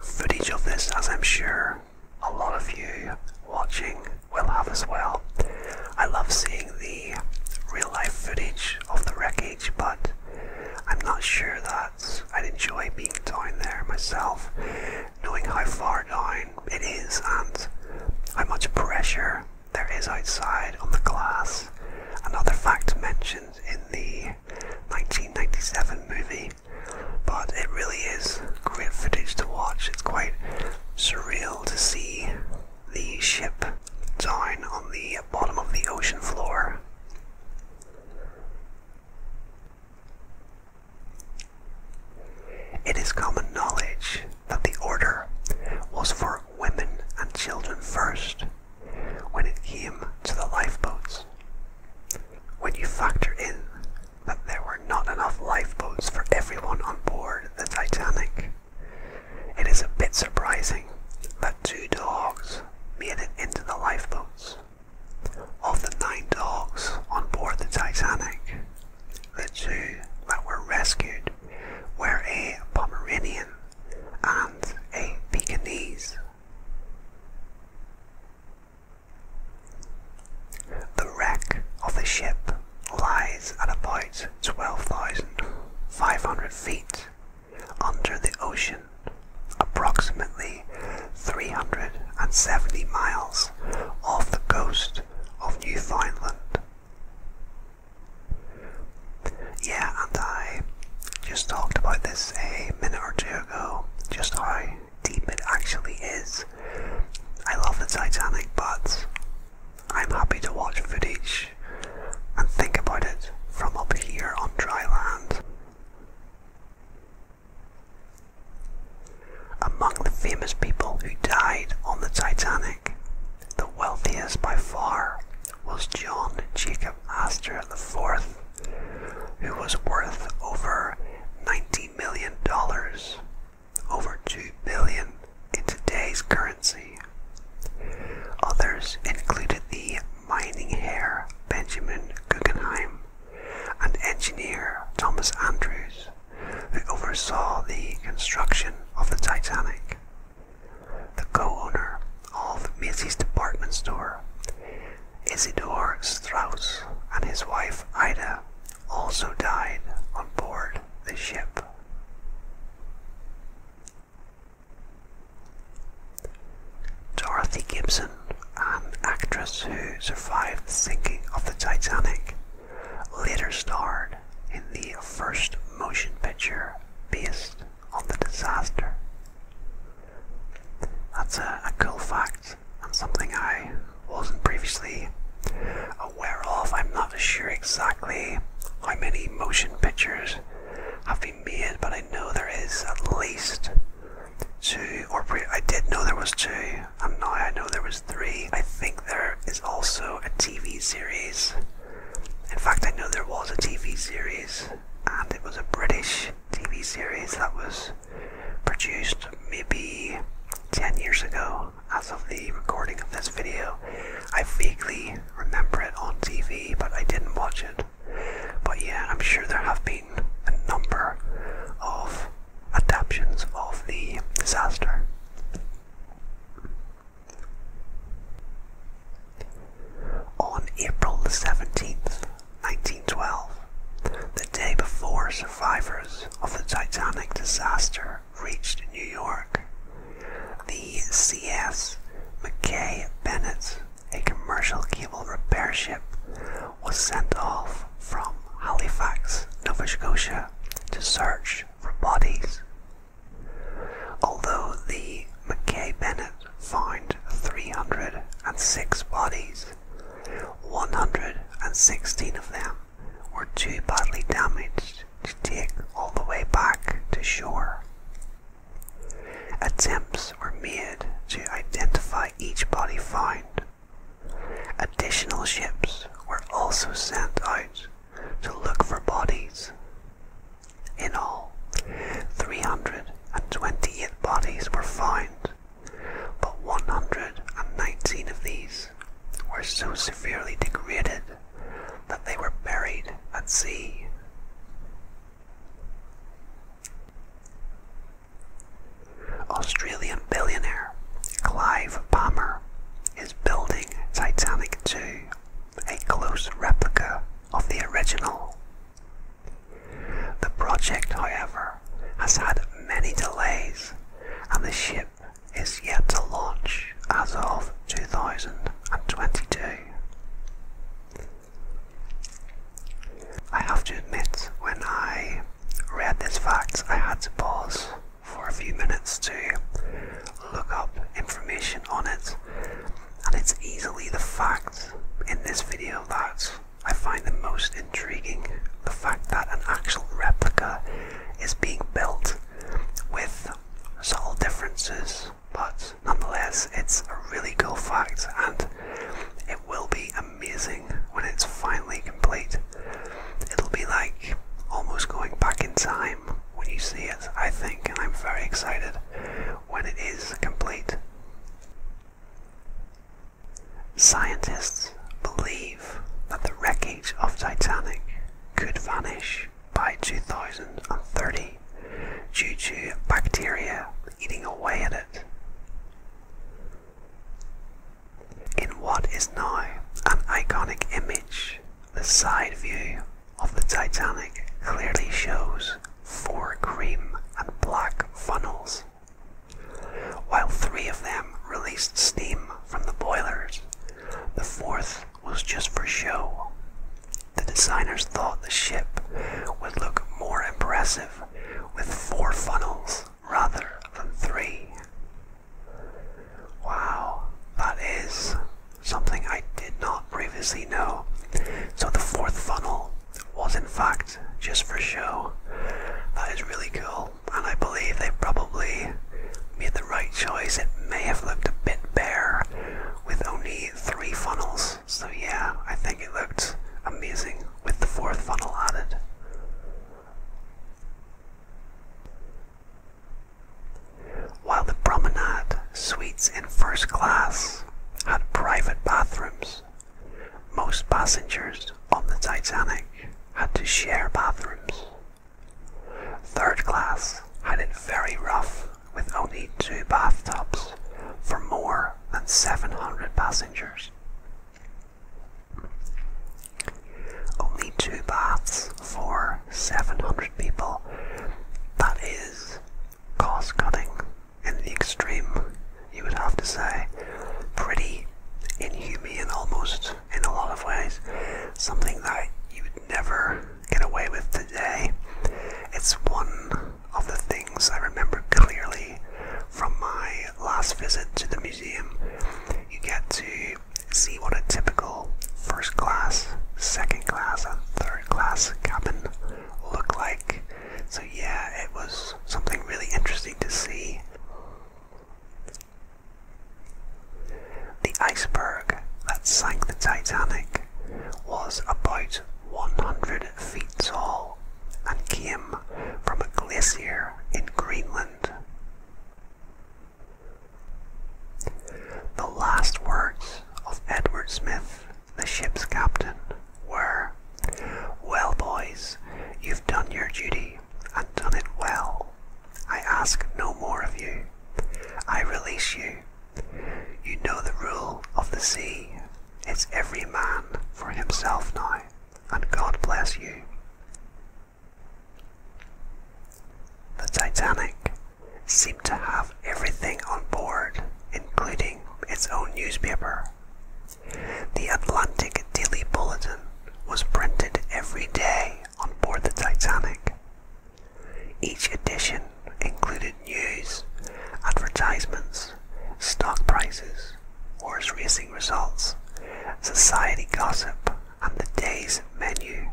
footage of this, as I'm sure a lot of you watching will have as well. I love seeing the real life footage of the wreckage, but I'm not sure that I'd enjoy being down there myself, knowing how far down it is and how much pressure there is outside on the glass. Another fact mentioned in the 1997 movie, but it really is great footage to watch. It's quite surreal to see the ship down on the bottom of the ocean floor. It is common knowledge that the order was for women and children first when it came to the lifeboats. When you factor in that there were not enough lifeboats for everyone on board the Titanic, it is a bit surprising that two dogs made it into the lifeboats. Of the nine dogs on board the Titanic, the two that were rescued were a Pomeranian and a Pekinese. The wreck of the ship lies at about 12,500 feet under the ocean, approximately 370 miles off the coast of Newfoundland. Yeah, and I just talked about this a minute or two ago, just how deep it actually is. I love the Titanic, but I'm happy to watch footage and think about it from up here on dry land. Among the famous people who died on the Titanic, the wealthiest by far was John Jacob Astor IV, who was worth over $90 million, over $2 billion in today's currency. Others included the mining heir Benjamin Guggenheim and engineer Thomas Andrews, who oversaw the construction of the Titanic. The co-owner of Macy's department store, Isidor Strauss, and his wife Ida also died on board the ship. Dorothy Gibson, an actress who survived the sinking of the Titanic, later starred in the first motion picture based on the disaster. That's a, cool fact and something I wasn't previously aware of. I'm not sure exactly how many motion pictures have been made, but I know there is at least two, or I did know there was two, I'm not, I know there was three. I think there is also a TV series. In fact, I know there was a TV series, and it was a British TV series that was produced maybe 10 years ago as of the recording of this video. I vaguely remember it on TV, but I didn't watch it. But yeah, I'm sure there have been a number of adaptations of the disaster. On April the 17th, 1912, the day before survivors of the Titanic disaster reached New York, the CS McKay Bennett, a commercial cable repair ship, was sent off from Halifax, Nova Scotia, to search for bodies. Although the McKay Bennett found 306 bodies, 116 of them were too badly damaged to take all the way back to shore. Attempts were made to identify each body found Additional ships were also sent out to look for bodies. In all, 328 bodies were found, but 119 of these were so severely degraded that they were buried at sea. Australian billionaire Clive Palmer is building Titanic II, a close replica of the original. The project, however, has had many delays and the ship is yet to launch as of 2022. I have to admit, when I read this fact, I had to pause for a few minutes to look up information on it, and it's easily the fact in this video that I find the most intriguing the fact that an actual replica is being built with subtle differences, but nonetheless, it's a really cool fact and it will be amazing when it's finally complete. It'll be like almost going back in time when you see it, I think, and I'm very excited when it is complete. Scientists believe that the wreckage of Titanic could vanish by 2030 due to bacteria eating away at it in what is now an iconic image. The side view of the Titanic clearly shows four cream and black funnels. While three of them released steam from the boilers, the fourth was just for show. The designers thought the ship would look more impressive with four funnels rather than three. Wow, that is something I did not previously know. So the fourth funnel was in fact just for show. That is really cool, and I believe they probably made the right choice. It may have looked a bit bare with only three funnels. So yeah, I think it looked amazing with the fourth funnel added. While the promenade suites in first class had private bathrooms, most passengers on the Titanic had to share bathrooms. Third class had it very rough with only two bathtubs for more than 700 passengers. Only two baths for 700 people. That is cost cutting in the extreme, you would have to say. Pretty inhumane almost in a lot of ways. Something that you would never get away with today. It's one of the things I remember clearly from my last visit to the museum. You get to see what a typical first class, second class, and third class cabin looked like. So, yeah, it was something really interesting to see. The iceberg that sank the Titanic was about 100 feet tall and came from a glacier in Greenland. The last words of Edward Smith, the ship's captain, were, Well, boys, you've done your duty, and done it well. I ask no more of you. I release you. You know the rule of the sea. It's every man for himself now, and God bless you. The Titanic seemed to have everything on board, including its own newspaper. The Atlantic Daily Bulletin was printed every day on board the Titanic. Each edition included news, advertisements, stock prices, horse racing results, society gossip, on the day's menu.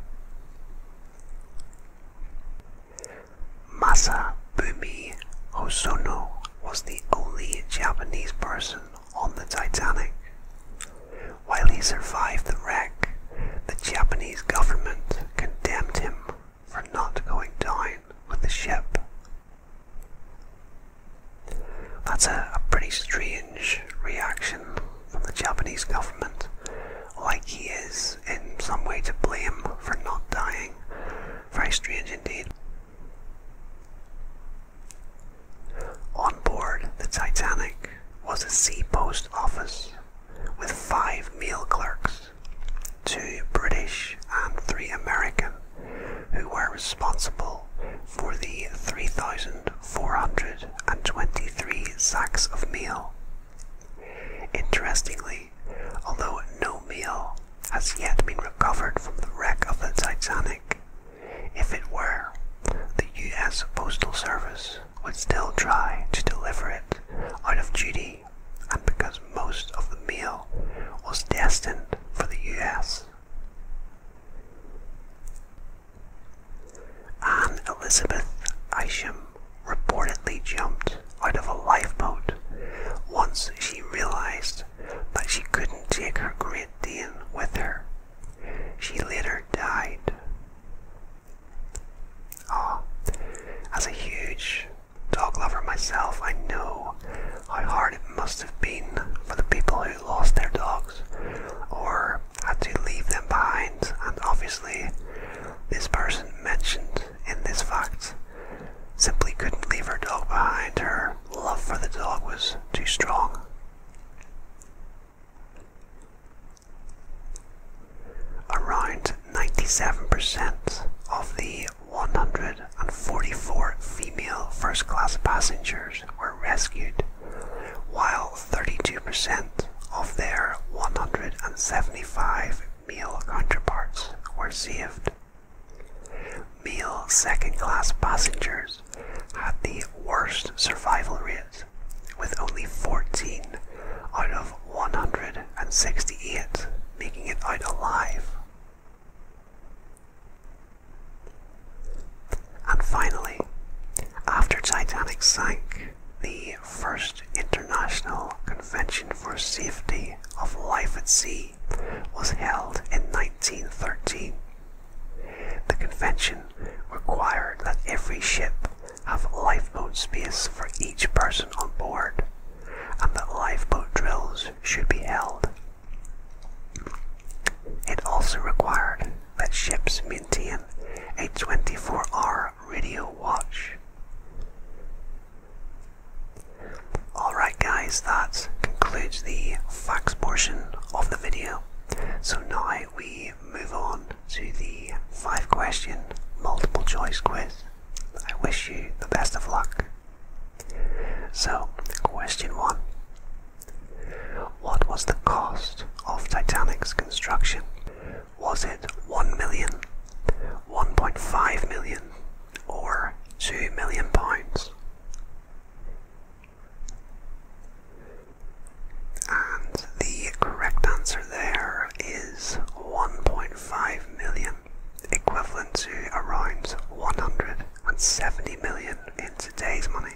Masabumi Hosono was the only Japanese person on the Titanic. While he survived the wreck, the Japanese government condemned him for not going down with the ship. That's a pretty strange reaction from the Japanese government, like he is in some way to blame for not dying. Very strange indeed. On board the Titanic was a sea post office with five meal clerks, two British and three American, who were responsible for the 3,000 Four hundred and twenty-three sacks of meal. Interestingly, although no meal has yet been recovered from the wreck of the Titanic, if it were, the US Postal Service would still try to deliver it out of duty and because most of the meal was destined for the US. Anne Elizabeth Isham reportedly jumped out of a lifeboat once she realized that she couldn't take her Great Dane with her. She later died. Ah, as a huge dog lover myself, I know how hard it must have been for the people who lost their dogs or had to leave them behind, and obviously, this person mentioned in this fact simply couldn't leave her dog behind. Her love for the dog was too strong. Around 97% of the 144 female first class passengers were rescued while 32% of their 175 meal counterparts were saved. meal second class passengers had the worst survival rates, with only 14 out of 168 making it out alive. And finally, after Titanic sank, the first International Convention for Safety of Life at Sea was held in 1913. The convention required that every ship have lifeboat space for each person on board and that lifeboat drills should be held. It also required that ships maintain a 24-hour radio watch. Alright guys, that concludes the facts portion of the video. So now we move on to the 5 question multiple choice quiz. I wish you the best of luck. So, question 1. What was the cost of Titanic's construction? Was it 1 million, 1.5 million, or 2 million pounds? And the correct answer there is 1.5 million, equivalent to around 170 million in today's money.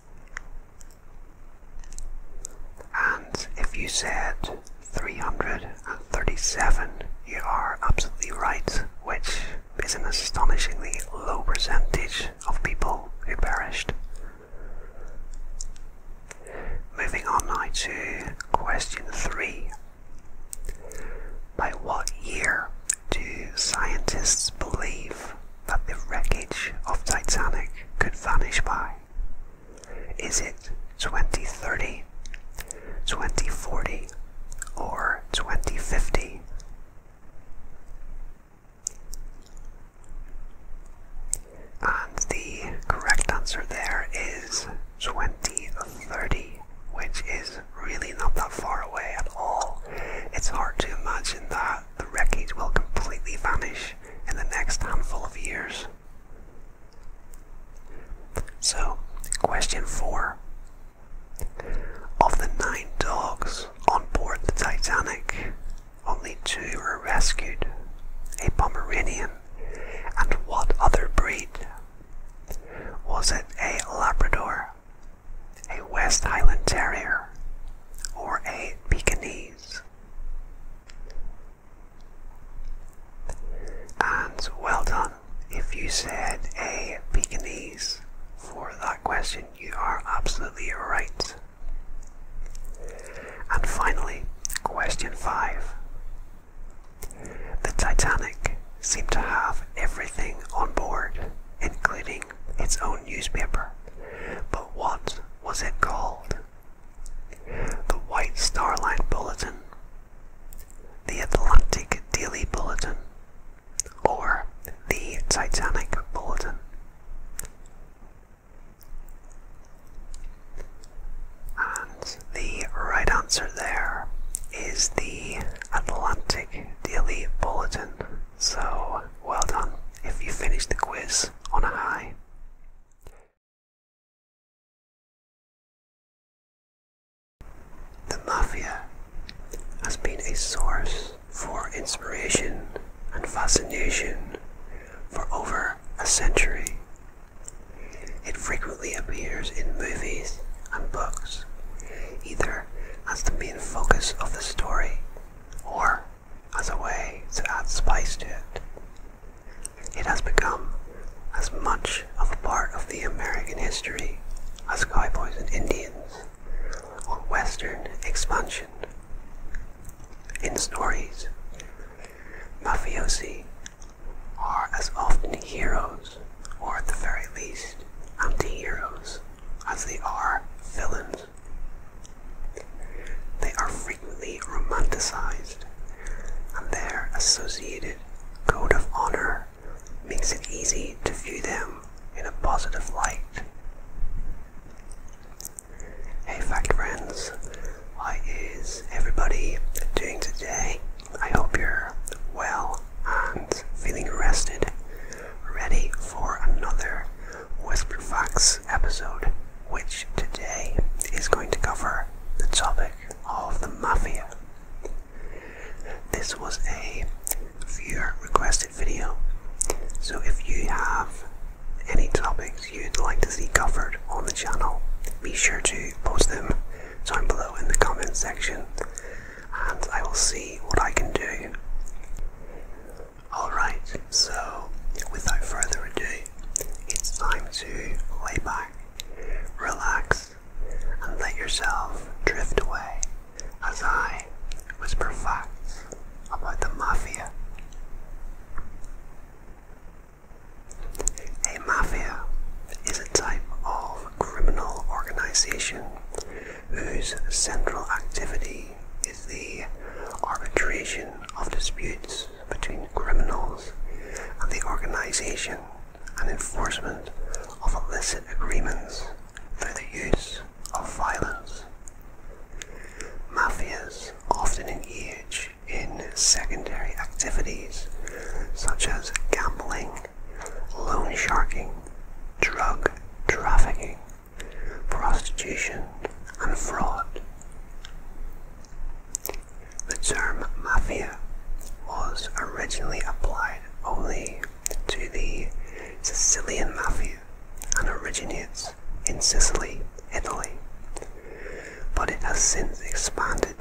And if you said 337, you are absolutely right, which is an astonishingly low percentage of people who perished. Moving on now to question 3. By what year do scientists believe that the wreckage of Titanic could vanish by? Is it 2030, 2040, or 2050? And the correct answer there is 2030, which is really not that far away at all. It's hard to imagine that the wreckage will completely vanish in the next handful of years. So, question 4. Of the nine dogs on board the Titanic, only two were rescued a Pomeranian, and what other breed? Was it a Labrador, a West Highland Terrier, or a Pekingese. And well done if you said a Pekingese for that question. You are absolutely right. And finally, question 5. The Titanic seemed to have everything on board, including its own newspaper. But what was it called? The White Star Line Bulletin, the Atlantic Daily Bulletin, or the Titanic Bulletin. And the right answer there is the Atlantic Daily Bulletin. So, well done if you finish the quiz on a high. The Mafia has been a source for inspiration and fascination for over a century. It frequently appears in movies and books, either as the main focus of the story or as a way to add spice to it. It has become as much of a part of the American history as cowboys and Indians or Western expansion. In stories, mafiosi are as often heroes, or at the very least, anti heroes, as they are villains. They are frequently romanticized, and their associated code of honor makes it easy to view them in a positive light. Hey, fact friends, how is everybody doing today? I hope you're well and feeling rested, ready for another Whisper Fox episode, which today is going to cover the topic of the Mafia. This was a viewer requested video, so if you have any topics you'd like to see covered on the channel, be sure to post them down below in the comment section and I will see what I can do. Alright, so without further ado, it's time to lay back, relax, and let yourself drift away as I whisper facts about the mafia. A mafia is a type of criminal organization whose central activity is the arbitration of disputes between criminals and the organization and enforcement of illicit agreements through the use of violence. Mafias often engage in secondary activities such as gambling, loan sharking, drug trafficking, prostitution, and fraud. The term mafia was originally applied only to the Sicilian mafia and originates in Sicily, Italy, but it has since expanded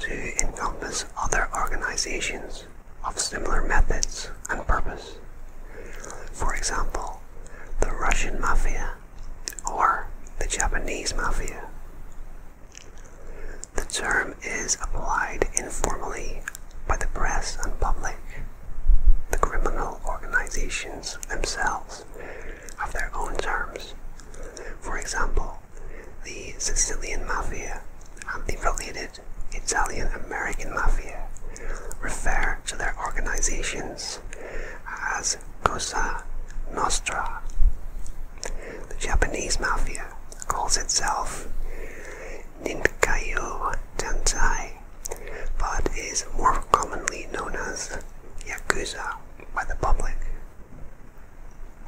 to encompass other organizations of similar methods and purpose. For example, the Russian mafia or the Japanese mafia. The term is applied informally by the press and public. The criminal organizations themselves have their own terms. For example, the Sicilian mafia and the related Italian American mafia refer their organizations as Cosa Nostra. The Japanese mafia calls itself Ninkayo Tensai, but is more commonly known as Yakuza by the public.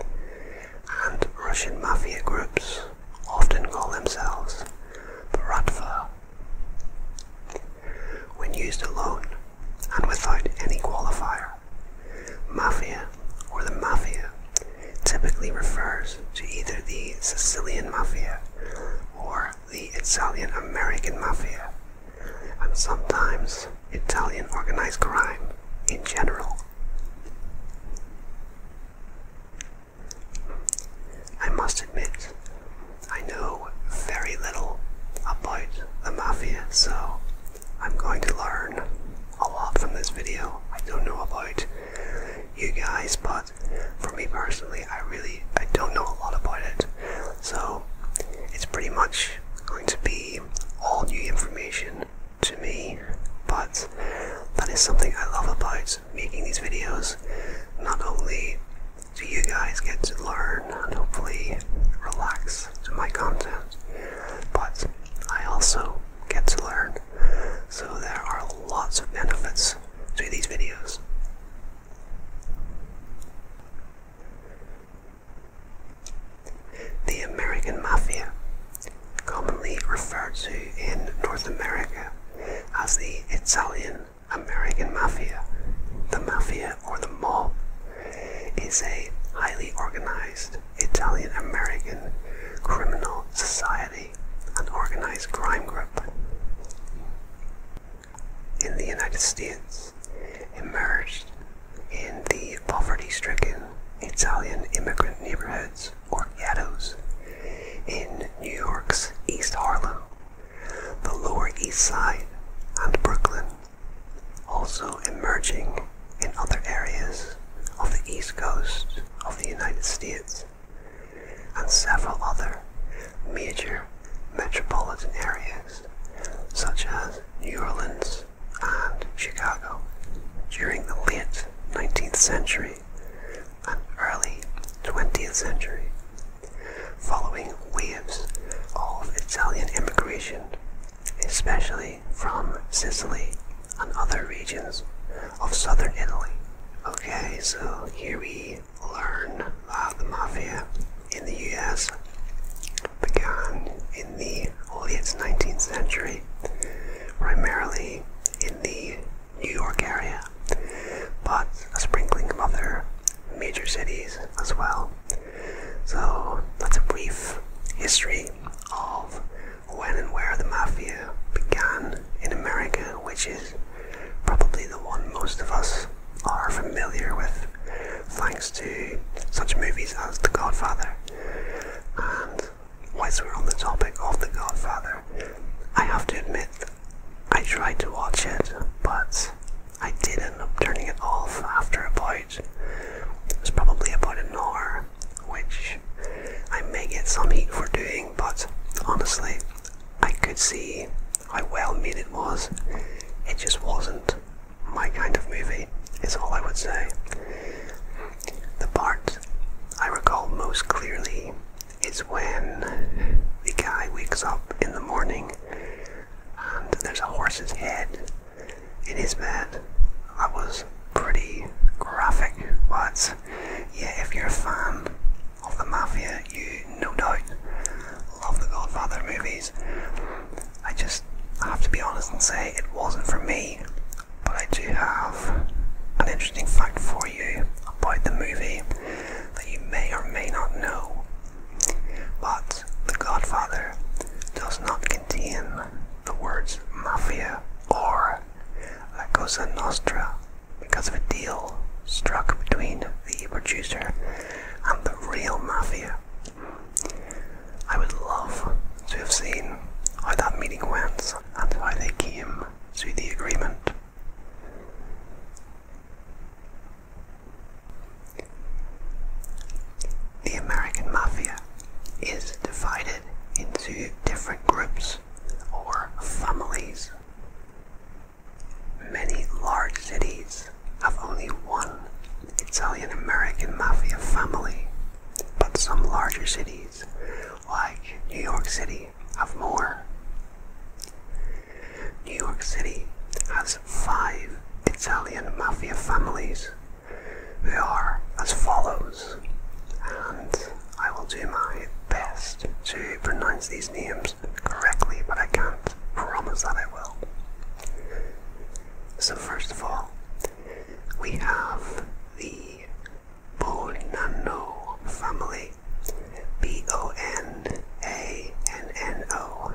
And Russian mafia groups often call themselves Baratva. When used alone and without any qualifier, mafia or the mafia typically refers to either the Sicilian mafia or the Italian American mafia, and sometimes Italian organized crime in general. I must admit, I know very little about the mafia, so I'm going to learn a lot from this video. I don't know about you guys, but for me personally, I really I don't know a lot about it. So it's pretty much going to be all new information to me, but that is something I love about making these videos. Not only so you guys get to learn and hopefully relax to my content. But I also get to learn, so there are lots of benefits to these videos. The American Mafia, commonly referred to in North America as the Italian American mafia. The mafia, or the mob, is a highly organized Italian American criminal society an organized crime group. In the United States, emerged in the poverty stricken Italian immigrant neighborhoods or ghettos in New York's East Harlem the Lower East Side, and Brooklyn, also emerging in other areas of the East Coast of the United States and several other major metropolitan areas such as New Orleans and Chicago during the late 19th century and early 20th century following waves of Italian immigration, especially from Sicily and other regions of southern Italy. Okay, so here we learn that the mafia in the US began in the late 19th century, primarily in the New York area, but a sprinkling of other major cities as well. So that's a brief history of when and where the mafia began in America, which is probably the one most of us are familiar with thanks to such movies as The Godfather. And whilst we're on the topic of The Godfather, I have to admit I tried to watch it, but I did end up turning it off after about it was probably about an hour, which I may get some heat for doing, but honestly, I could see how well made it was. It just wasn't my kind of movie, is all I would say. The part I recall most clearly is when the guy wakes up in the morning and there's a horse's head in his bed. That was pretty graphic, but yeah, if you're a fan of the mafia, you no doubt love the Godfather movies. I just have to be honest and say it wasn't for me, but I do have an interesting fact for you about the movie that you may or may not know. But The Godfather does not contain the words mafia or La Cosa Nostra because of a deal struck between the producer and the real mafia. I would love to have seen how that meeting went and how they came to the agreement. The American Mafia is divided into different groups or families. Many large cities have only one Italian American Mafia family, but some larger cities, like New York City, have more. New York City has five Italian mafia families. They are as follows, and I will do my best to pronounce these names correctly, but I can't promise that I will. So, first of all, we have the Bonanno family. B O N A N N O.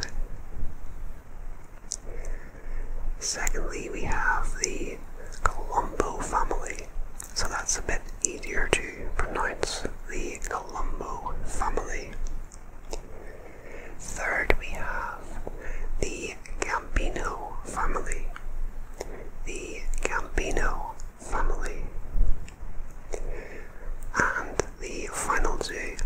Secondly, we have the Colombo family, so that's a bit easier to pronounce. The Colombo family. Third, we have the Gambino family. The Gambino family. And the final two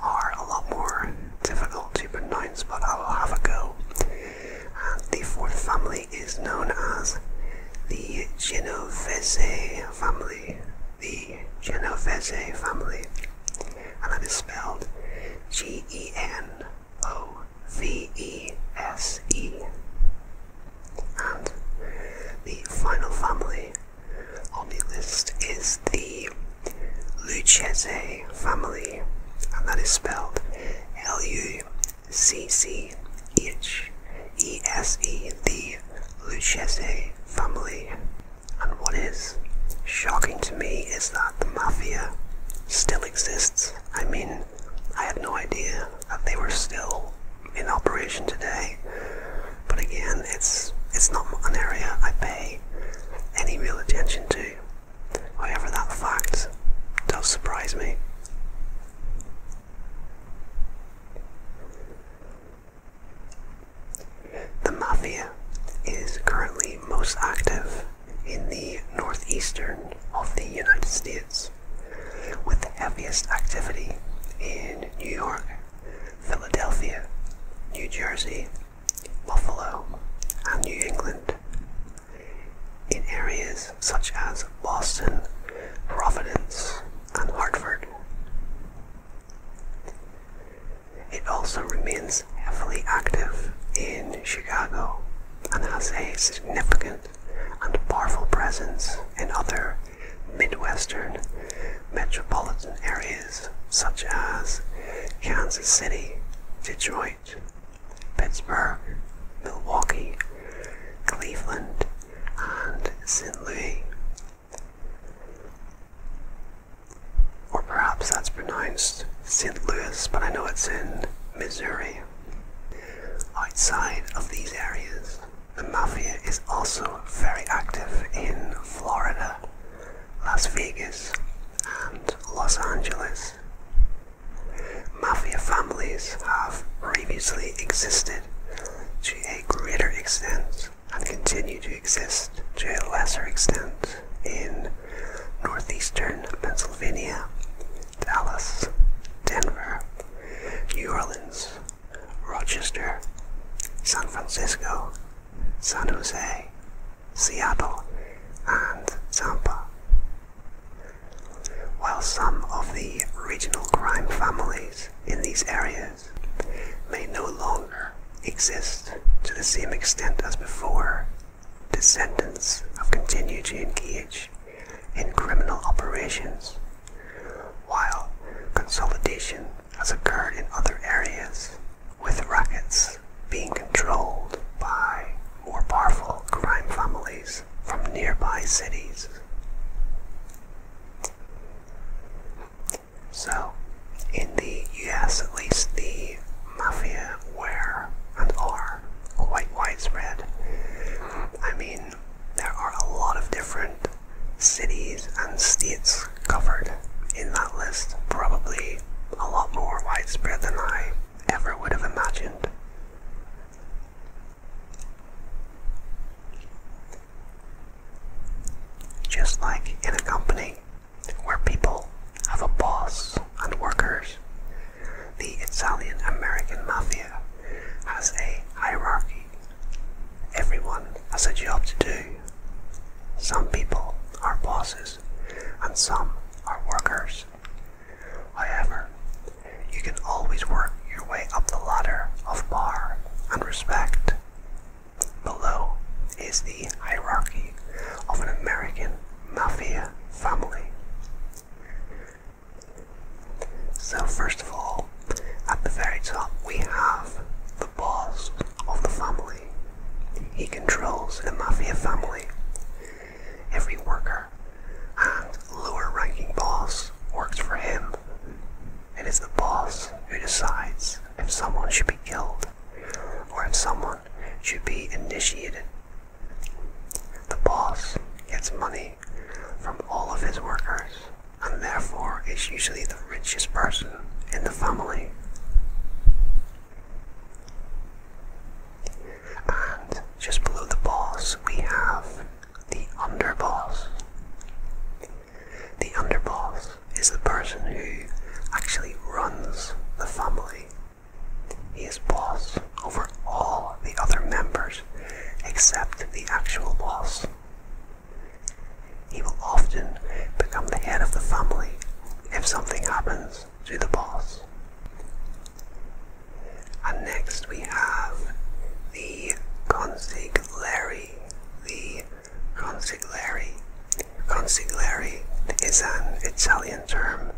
are a lot more difficult to pronounce, but I will have a go. And the fourth family is known as the Genovese family. The Genovese family. And that is spelled G E N O V E S E. And the final family on the list is the Lucchese family, and that is spelled L U C C H E S E, the Lucchese family. And what is shocking to me is that the mafia still exists. I mean, I had no idea that they were still in operation today. But again, it's it's not an area I pay any real attention to. However, that fact does surprise me. The mafia is currently most active in the northeastern of the United States, with the heaviest activity in New York Philadelphia, New Jersey, Buffalo, and New England. In areas such as Boston, Providence, and Hartford. It also remains heavily active in Chicago and has a significant and powerful presence in other Midwestern metropolitan areas such as Kansas City, Detroit, Pittsburgh, Milwaukee, Cleveland, and St. Louis. Or perhaps that's pronounced St. Louis, but I know it's in Missouri. Outside of these areas, the Mafia is also very active in Florida, Las Vegas, and Los Angeles. Mafia families have previously existed to a greater extent and continue to exist to a lesser extent in northeastern Pennsylvania, Dallas, Denver, New Orleans, Rochester, San Francisco, San Jose, Seattle, and Tampa. While some of the regional crime families in these areas may no longer exist to the same extent as before, descendants of continue to engage in criminal operations, while consolidation has occurred in other areas, with rackets being controlled by more powerful crime families from nearby cities. So, in the US at least, the mafia were and are quite widespread. I mean, there are a lot of different cities and states covered in that list, probably a lot more widespread than I ever would have imagined. Just like in a company where people have a boss and workers, the Italian American mafia has a hierarchy Everyone has a job to do. Some people are bosses and some are workers. However, you can always work your way up the ladder of power and respect. Below is the hierarchy of an American mafia family. So, first of all, at the very top, we have the boss of the family. He controls the mafia family. Every worker and lower ranking boss works for him. It is the boss who decides if someone should be killed or if someone should be initiated. The boss gets money from all of his workers and therefore is usually the richest person in the family. And just below the boss, we have the underboss. The underboss is the person who actually runs the family. He is boss over all the other members except the actual boss, he will often become the head of the family if something happens to the boss. And next we have the consigliere. The consigliere. Consigliere is an Italian term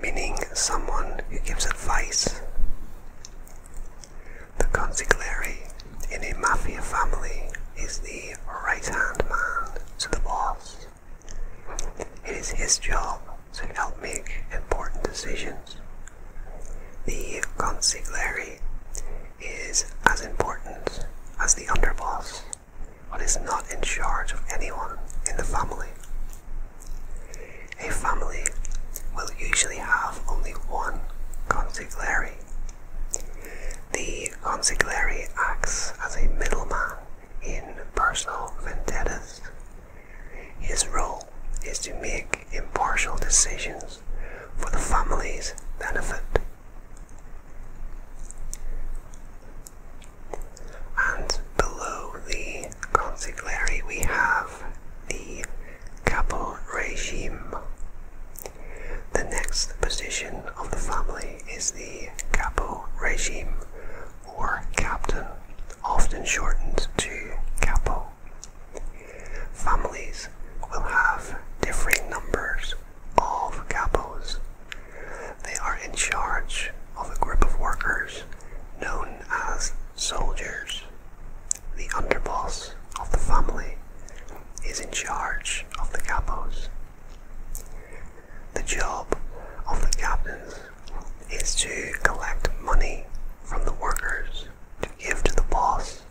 meaning someone who gives advice. The consigliere in a mafia family is the right-hand man to the boss. It is his job to help make important decisions. The consigliere is as important as the underboss, but is not in charge of anyone in the family. A family will usually have only one consigliere the consigliere acts as a middleman in personal vendettas. His role is to make impartial decisions for the family's benefit. And below the consigliere we have the capo regime. The next position of the family is the capo regime, or captain, often shortened to capo. Families will have differing numbers of capos. They are in charge of a group of workers known as soldiers. The underboss of the family is in charge of the capos. The job of the captains is to collect money from the workers to give to the boss,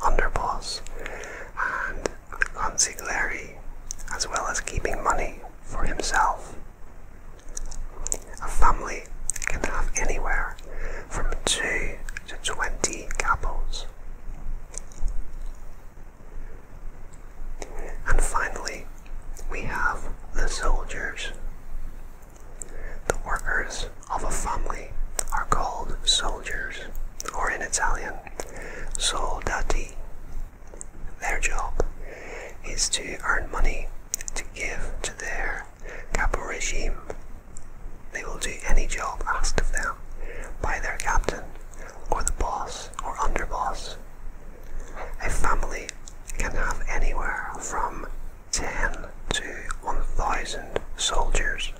underboss, and the consigliere, as well as keeping money for himself. A family can have anywhere from 2 to 20 capos. And finally, we have the soldiers. The workers of a family are called soldiers, or in Italian, soldati. Their job is to earn money to give to their capo regime they will do any job asked of them by their captain, or the boss or underboss. A family can have anywhere from 10 to 1,000 soldiers.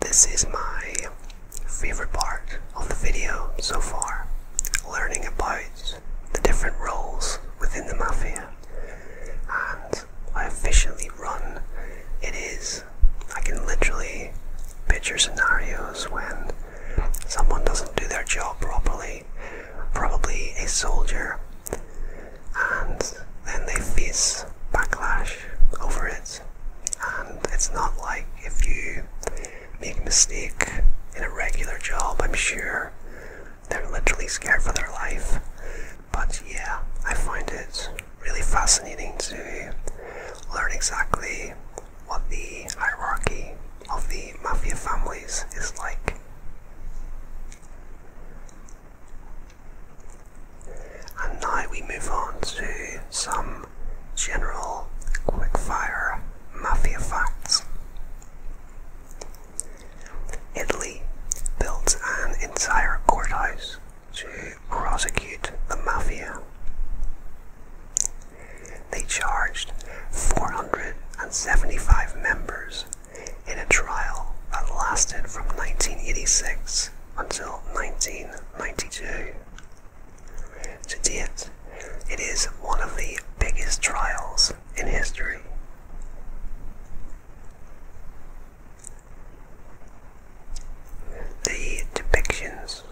This is my favorite part of the video so far, learning about the different roles within the mafia I officially run, it is. I can literally picture scenarios when someone doesn't do their job properly, probably a soldier, and then they face backlash over it. And it's not like if you make a mistake in a regular job, I'm sure they're literally scared for their life. But yeah, I find it really fascinating to learn exactly what the hierarchy of the mafia families is like. And now we move on to some general quickfire mafia facts. Italy built an entire courthouse to prosecute the mafia. They charged 475 members in a trial that lasted from 1986 until 1992. To date, it is one of the biggest trials in history. The depictions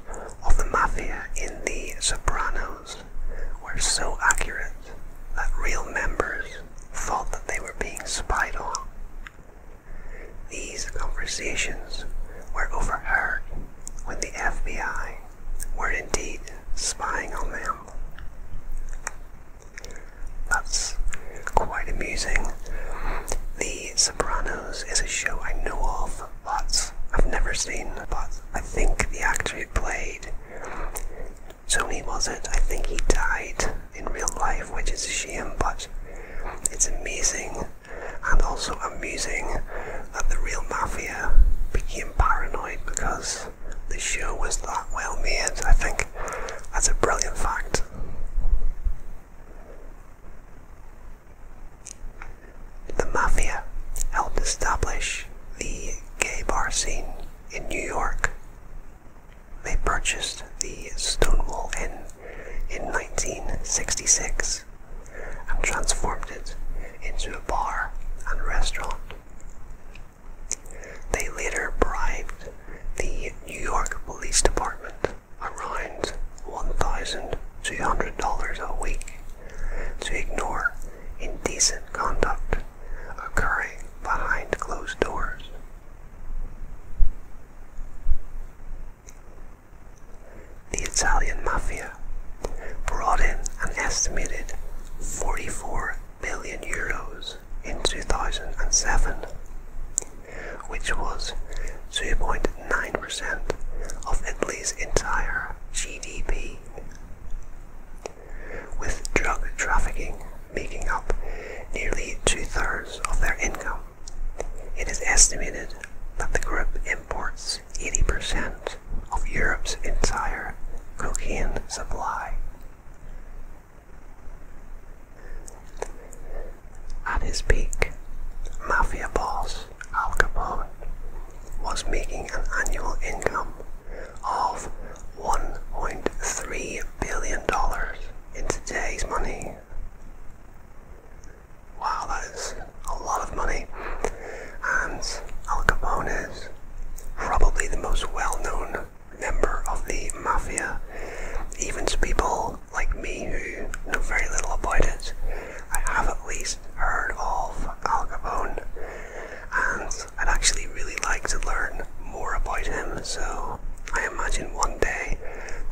of the mafia in The Sopranos were so accurate that real members thought that they were being spied on. These conversations were overheard when the FBI were indeed spying on them. That's quite amusing. The Sopranos is a show I know of lots. I've never seen, but I think the actor who played Tony was it. I think he died in real life, which is a shame, but it's amazing and also amusing that the real mafia became paranoid because the show was that well made. I think that's a brilliant fact. The Mafia helped establish the gay bar scene in New York. They purchased the Stonewall Inn in 1966 and transformed it into a bar and restaurant. They later bribed the New York Police Department around $1,200 a week to ignore indecent conduct occurring behind closed doors. The Italian mafia brought in an estimated 44 billion euros in 2007 which was 2.9% of Italy's entire GDP, with drug trafficking making up nearly two-thirds of their income. It is estimated that the group imports 80% of Europe's entire cocaine supply. At his peak, mafia boss Al Capone was making an annual income of $1.3 billion in today's money. Wow, that is a lot of money. And Al Capone is probably the most well known member of the mafia, even to people like me who know very little about it, I have at least heard of Al Capone, and I'd actually really like to learn more about him. So I imagine one day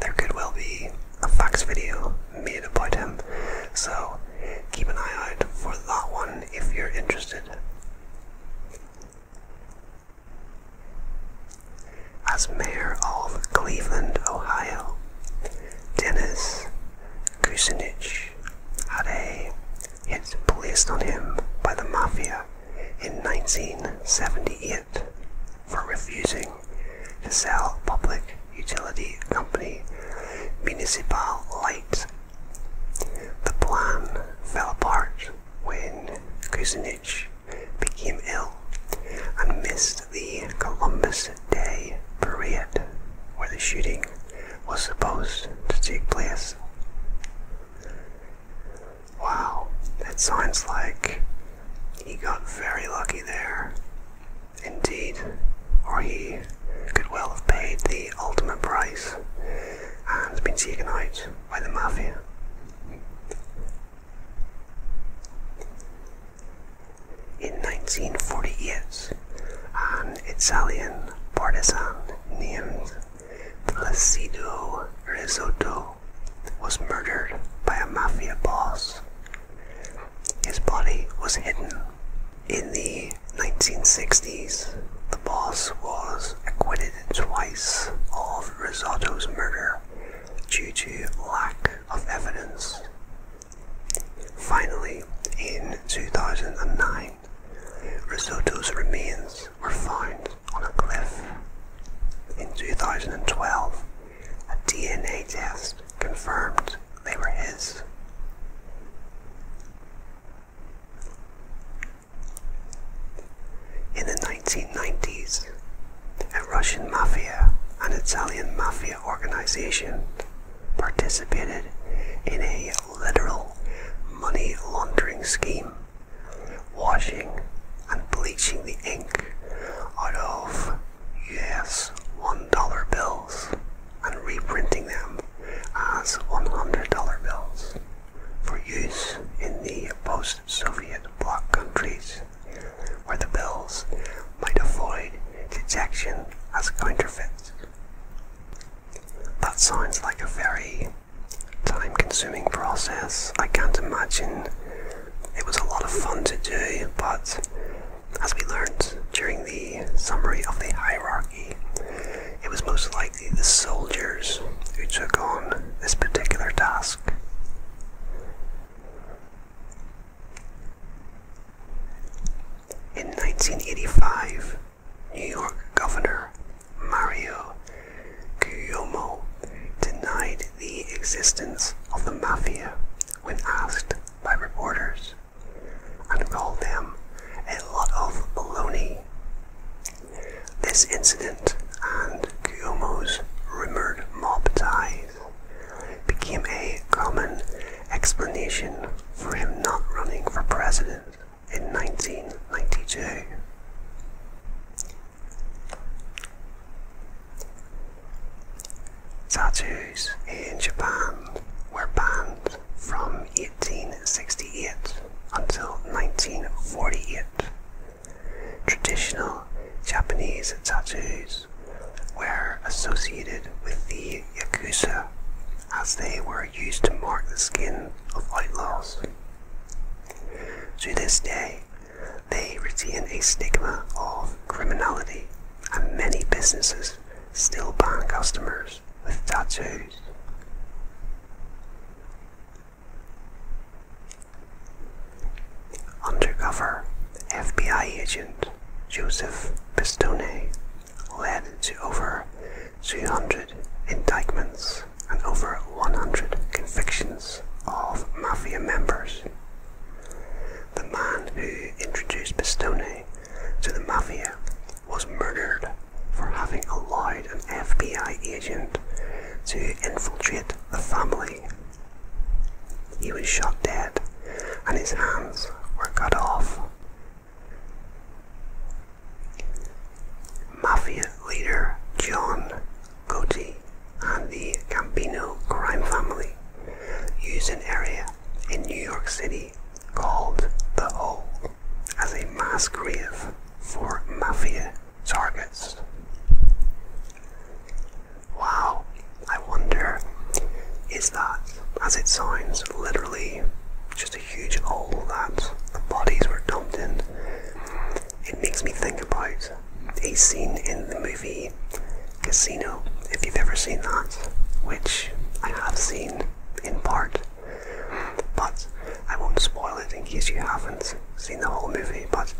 there could well be a facts video made about him. So keep an eye out for that one if you're interested. As mayor of Cleveland, Ohio, Dennis Kucinich had a hit placed on him by the mafia in 1978 for refusing to sell public utility company Municipal Light. The plan fell apart when Kucinich March, became ill and missed the Columbus Day parade where the shooting was supposed to take place. Wow, that sounds like he got very lucky there. Indeed, or he could well have paid the ultimate price and been taken out by the mafia. In 1948, an um, Italian partisan named Placido Risotto was murdered by a mafia boss. His body was hidden. In the 1960s, the boss was acquitted twice of Risotto's murder due to lack of evidence. Finally, in 2009, Risotto's remains were found on a cliff. In 2012, a DNA test confirmed they were his. In the 1990s, a Russian mafia and Italian mafia organization participated in a literal money laundering scheme, washing and bleaching the ink out of US $1 bills and reprinting them as $100 bills for use in the post Soviet bloc countries where the bills might avoid detection as counterfeit. That sounds like a very time consuming process. I can't imagine it was a lot of fun to do, but as we learned during the summary of the hierarchy, it was most likely the soldiers who took on this particular task. In 1985, New York Governor Mario Cuomo denied the existence of the mafia when asked by reporters and called them a lot of baloney. This incident and Cuomo's rumored mob ties became a common explanation for him not running for president in 1992. Tattoos in Japan were banned from 1868 until 1948. Traditional Japanese tattoos were associated with the Yakuza as they were used to mark the skin of outlaws. To this day, they retain a stigma of criminality, and many businesses still ban customers with tattoos. Undercover FBI agent Joseph Pistone led to over 300 indictments and over 100 convictions of mafia members. The man who introduced Pistone to the mafia was murdered for having allowed an FBI agent to infiltrate the family he was shot dead, and his hands were cut off. Mafia leader John Gotti and the Campino crime family used an area in New York City called The O as a mass grave for mafia targets. Wow, I wonder, is that, as it sounds, literally just a huge hole that the bodies were dumped in? It makes me think about a scene in the movie Casino, if you've ever seen that, which I have seen in part, but I won't spoil it in case you haven't seen the whole movie. But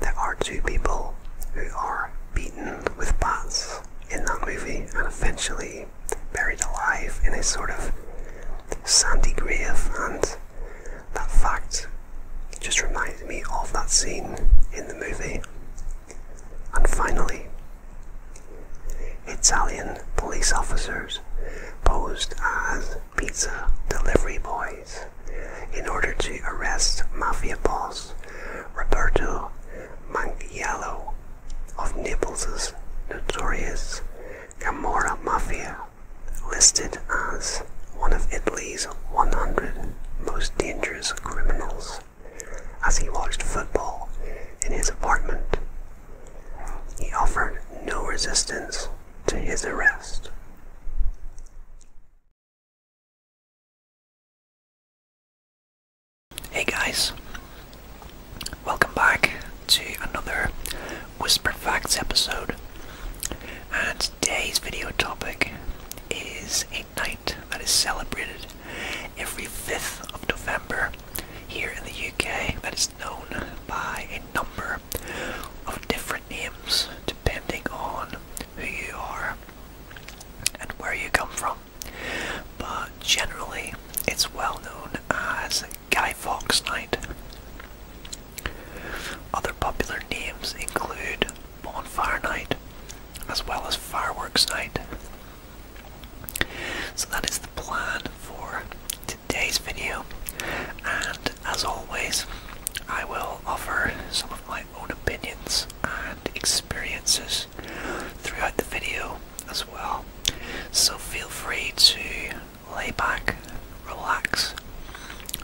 there are two people who are beaten with bots in that movie and eventually buried alive in a sort of sandy grave and that fact just reminded me of that scene in the movie. And finally, Italian police officers posed as pizza delivery boys in order to arrest mafia boss Roberto Mangiello of Naples' notorious Camorra Mafia, listed as one of Italy's 100 most dangerous criminals as he watched football in his apartment. He offered no resistance to his arrest. Hey guys, welcome back to another Whisper Facts episode. And today's video topic is a night that is celebrated every 5th of November here in the UK that is known by a number of different names depending on who you are and where you come from. But generally, it's well known as Guy Fawkes Night. Other popular names include Bonfire Night as well as Fireworks Night. So that is the plan for today's video, and as always, I will offer some of my own opinions and experiences throughout the video as well. So feel free to lay back, relax,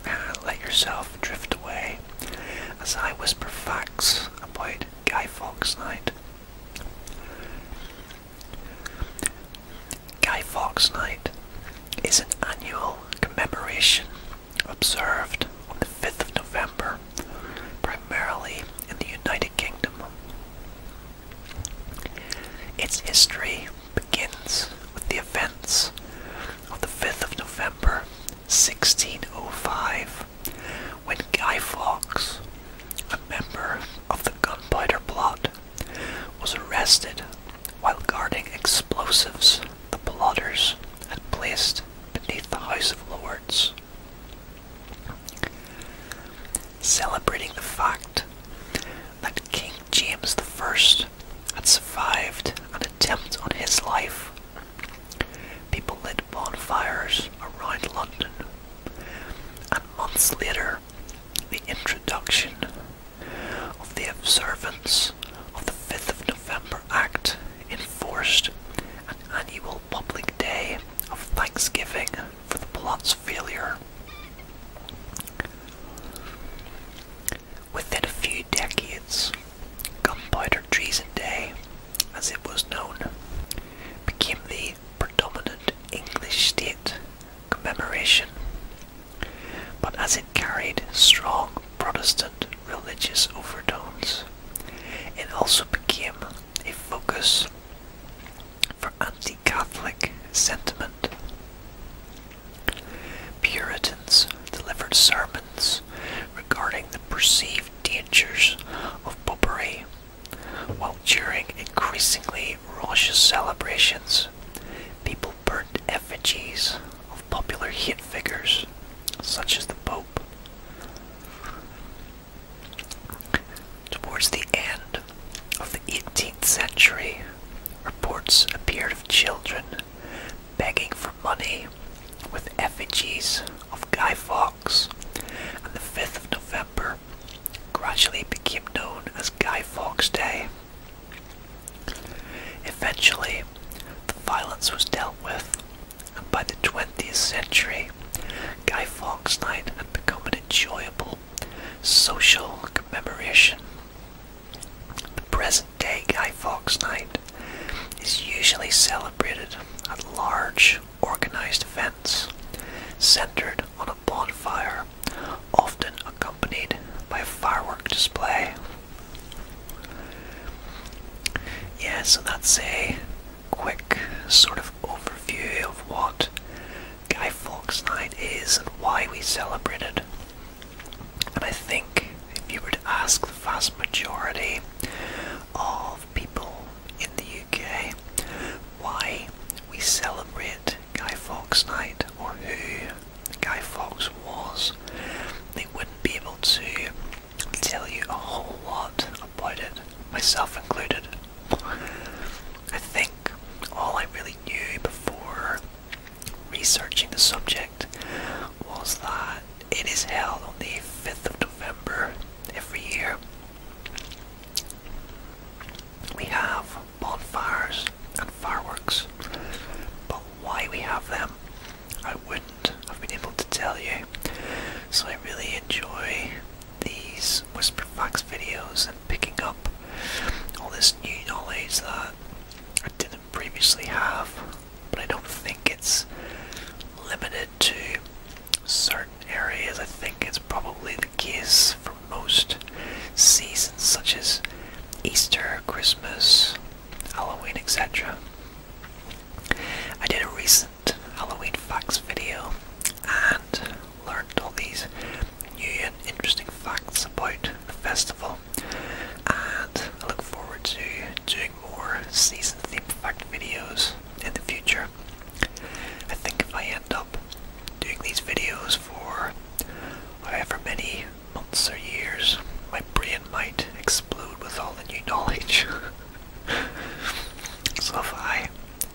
and let yourself drift away as I whisper facts about Guy Fawkes Night. Guy Fawkes Night is an annual commemoration observed on the 5th of November, primarily in the United Kingdom. Its history begins with the events of the 5th of November 1605 when Guy Fawkes, a member of the Gunpowder Plot, was arrested while guarding explosives the plotters had placed beneath the House of Lords. Celebrating the fact that King James I had survived an attempt on his life, people lit bonfires around London, and months later, the introduction of the observance of the 5th of November Act enforced an annual public day of thanksgiving for the plot's failure. Within a few decades, Gunpowder Treason Day, as it was known, became the predominant English state commemoration. But as it carried strong Protestant religious overtones. It also became a focus for anti-Catholic sentiment. Puritans delivered sermons regarding the perceived dangers of popery, while during increasingly raucous celebrations, people burned effigies of popular hit figures such as the Pope. Towards the end of the 18th century, reports appeared of children begging for money with effigies of Guy Fawkes, and the 5th of November gradually became known as Guy Fawkes Day. Eventually, the violence was dealt with by the 20th century, Guy Fawkes Night had become an enjoyable social commemoration. The present day Guy Fawkes Night is usually celebrated at large, organized events centered on a bonfire, often accompanied by a fireworks display. Yeah, so that's a quick sort of overview of what Guy Fawkes Night is and why we celebrate it. And I think if you were to ask the vast majority of people in the UK why we celebrate Guy Fawkes Night or who Guy Fawkes was, they wouldn't be able to tell you a whole lot about it, myself included. I think all I really knew before researching the subject was that it is held on the 5th of November every year. We have bonfires and fireworks, but why we have them I wouldn't have been able to tell you. So I really enjoy these Whisper fox videos and picking up all this new knowledge that I didn't previously have, but I don't think it's limited to certain areas. I think it's probably the case for most seasons, such as Easter, Christmas, Halloween, etc. I did a recent Halloween facts video and learned all these new and interesting facts about the festival and I look forward to doing more season themed fact videos in the future. I think if I end up doing these videos for however many months or years, my brain might explode with all the new knowledge. so if I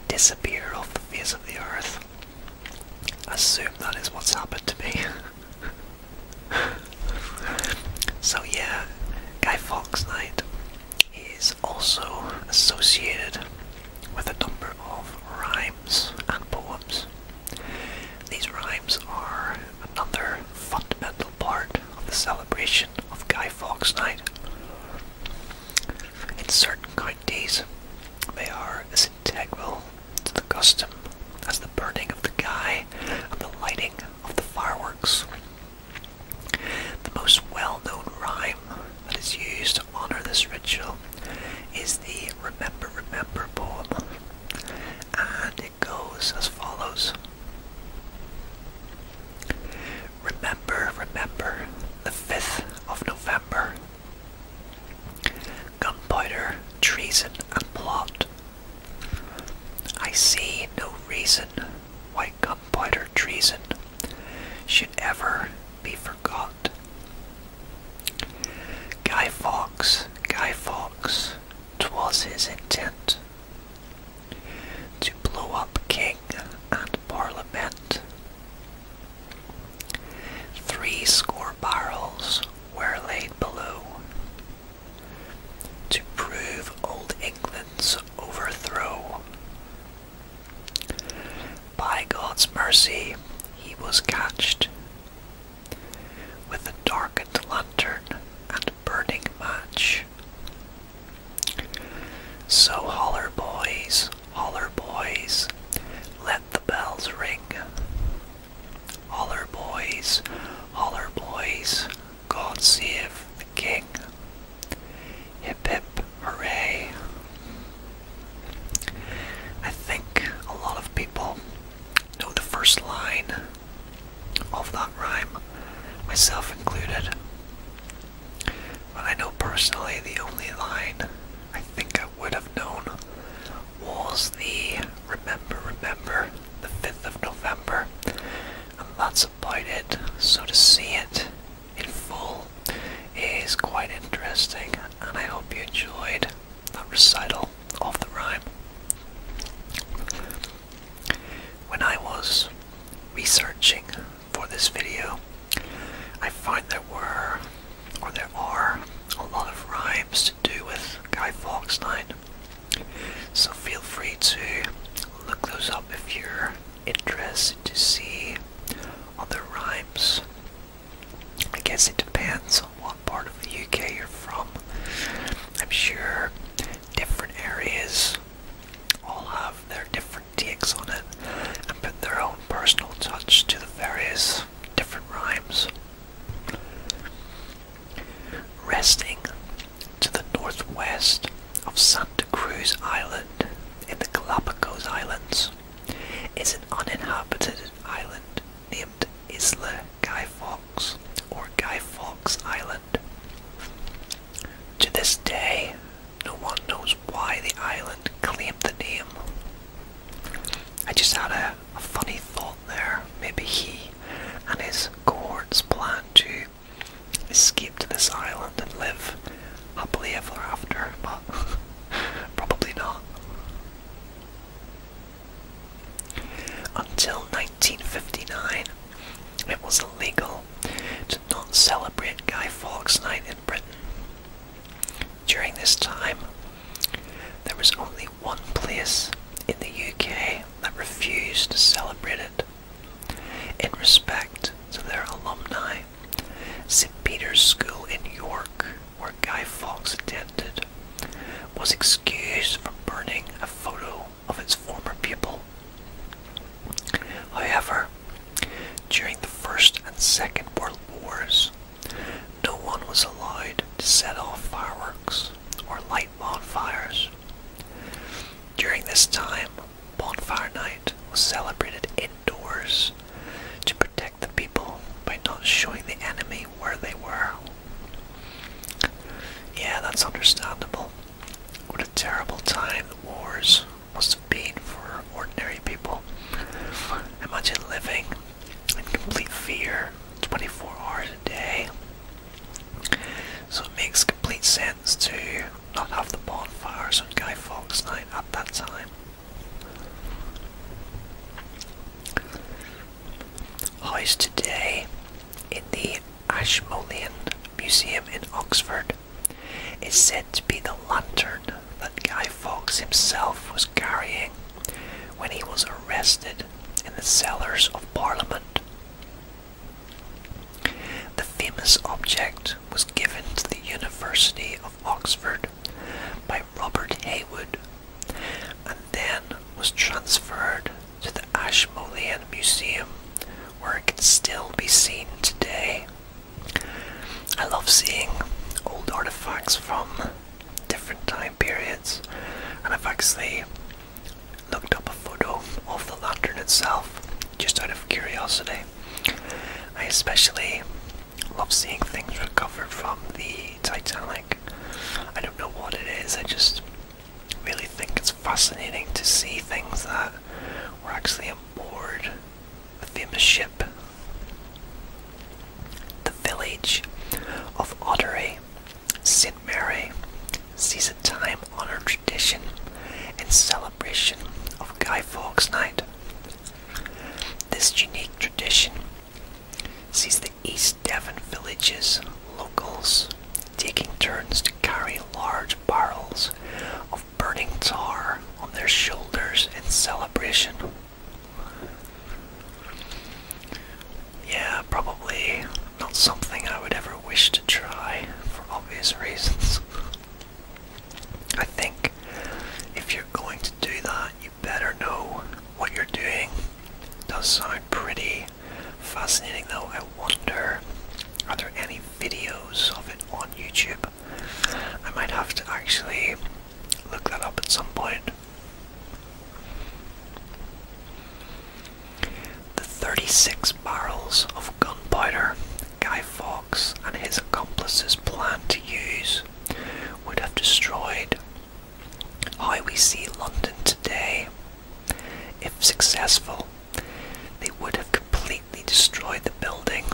disappear off the face of the earth, assume that is what's happened to me. so yeah, Guy Fawkes Night is also associated with a number of rhymes and poems. These rhymes are another fundamental part of the celebration of Guy Fawkes Night. In certain days, they are as integral to the custom as the burning of the guy and the lighting of the fireworks. The most well-known rhyme that is used to honour this ritual is the Remember Remember poem, goes as follows Remember, remember the 5th of November. Gunpowder, treason, and plot. I see no reason why gunpowder treason should ever be forgot. Guy Fawkes, Guy Fawkes, 'twas his intent to blow up king and parliament. Three score barrels were laid below to prove old England's overthrow. By God's mercy, he was catched with a darkened lantern and burning match. So holler, boys, holler, boys, let the bells ring. Holler, boys, holler, boys, God save the king. Hip hip hooray. I think a lot of people know the first line of that rhyme, myself included. But I know personally the only line I think I would have known was the Remember, Remember, the 5th of November, and that's about it. So to see it in full is quite interesting, and I hope you enjoyed the recital of the rhyme. When I was researching for this video, I find there were, or there are, a lot of rhymes to do with Guy Fawkes Night. So feel free to look those up if you're interested to see other rhymes. I guess it depends on what part of the UK you're from. I'm sure different areas all have their different takes on it and put their own personal touch to the various different rhymes. Resting to the northwest of Santa Cruz Island in the Galapagos Islands is an uninhabited island named Isla Guy Fawkes or Guy Fawkes Island. To this day, no one knows why the island claimed the name. I just had a, a funny thought there. Maybe he and his cohorts planned to escape to this island and live happily ever after, but probably not. Until 1959, it was illegal to not celebrate Guy Fawkes Night in Britain. During this time, there was only one place in the UK that refused to celebrate it. In respect to their alumni, St Peter's School in York, where Guy Fawkes attended, was excused from burning a photo of its former people. However, during the First and Second World Wars, no one was allowed to set off fireworks or light bonfires. During this time, Bonfire Night was celebrated indoors to protect the people by not showing the enemy where they were. Yeah, that's understandable terrible time the wars must have been for ordinary people. Imagine living in complete fear 24 hours a day. So it makes complete sense to not have the bonfires on Guy Fawkes Night at that time. How's today in the Ashmolean Museum in Oxford is said to be the lantern that Guy Fawkes himself was carrying when he was arrested in the cellars of Parliament. The famous object was given to the University of Oxford by Robert Haywood and then was transferred to the Ashmolean Museum, where it can still be seen today. I love seeing old artifacts from different time periods, and I've actually looked up a photo of the lantern itself just out of curiosity. I especially love seeing things recovered from the Titanic. I don't know what it is, I just really think it's fascinating to see things that were actually aboard the famous ship. The village of Ottery, St. Mary, sees a time honoured tradition in celebration of Guy Fawkes Night. This unique tradition sees the East Devon villages, locals, taking turns to carry large barrels of burning tar on their shoulders in celebration. Yeah, probably not something I would ever wish to try for obvious reasons. I think if you're going to do that, you better know what you're doing. does sound pretty fascinating though. I wonder are there any videos of it on YouTube. I might have to actually look that up at some point. The 36 barrels of gunpowder Guy Fawkes and his accomplices planned to use would have destroyed how we see London today. If successful, they would have completely destroyed the building,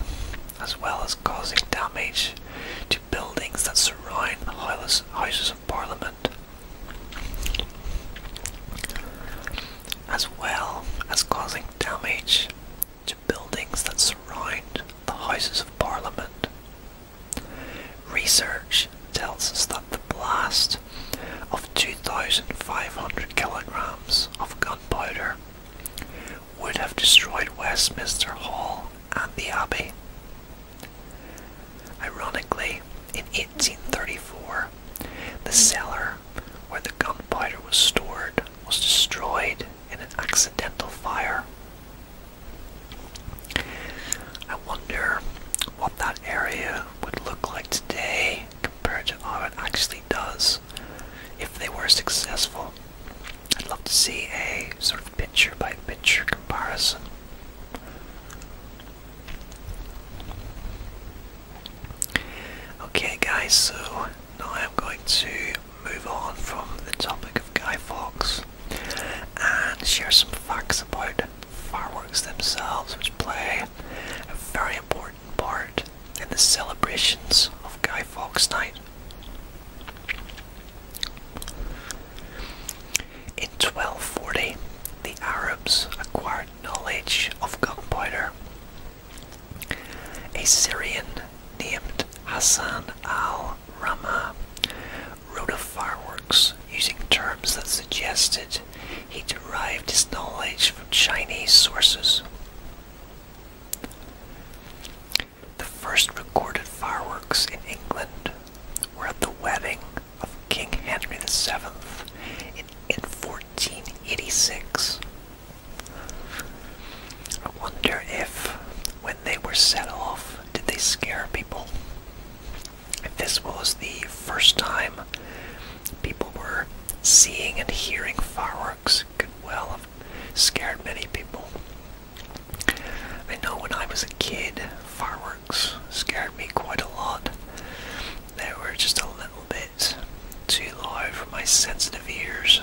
as well as causing damage to buildings that surround the Houses of Parliament, as well as causing damage to buildings that surround the Houses of Parliament. Research tells us that the blast of 2,500 kilograms of gunpowder would have destroyed Westminster Hall and the Abbey. Ironically, in 1834, the cellar where the gunpowder was stored was destroyed in an accidental fire. I wonder what that area would look like today compared to how it actually does if they were successful. I'd love to see a sort of picture by picture comparison. Okay, guys, so now I'm going to move on from the topic of Guy Fawkes and share some facts about fireworks themselves, which play a very important important part in the celebrations of Guy Fawkes Night. In 1240, the Arabs acquired knowledge of gunpowder. A Syrian named Hassan al Rama wrote of fireworks using terms that suggested he derived his knowledge from Chinese sources. The first recorded fireworks in England were at the wedding of King Henry VII in, in 1486. I wonder if, when they were set off, did they scare people? If this was the first time People were seeing and hearing fireworks could well have scared many people. I know when I was a kid, fireworks scared me quite a lot. They were just a little bit too loud for my sensitive ears.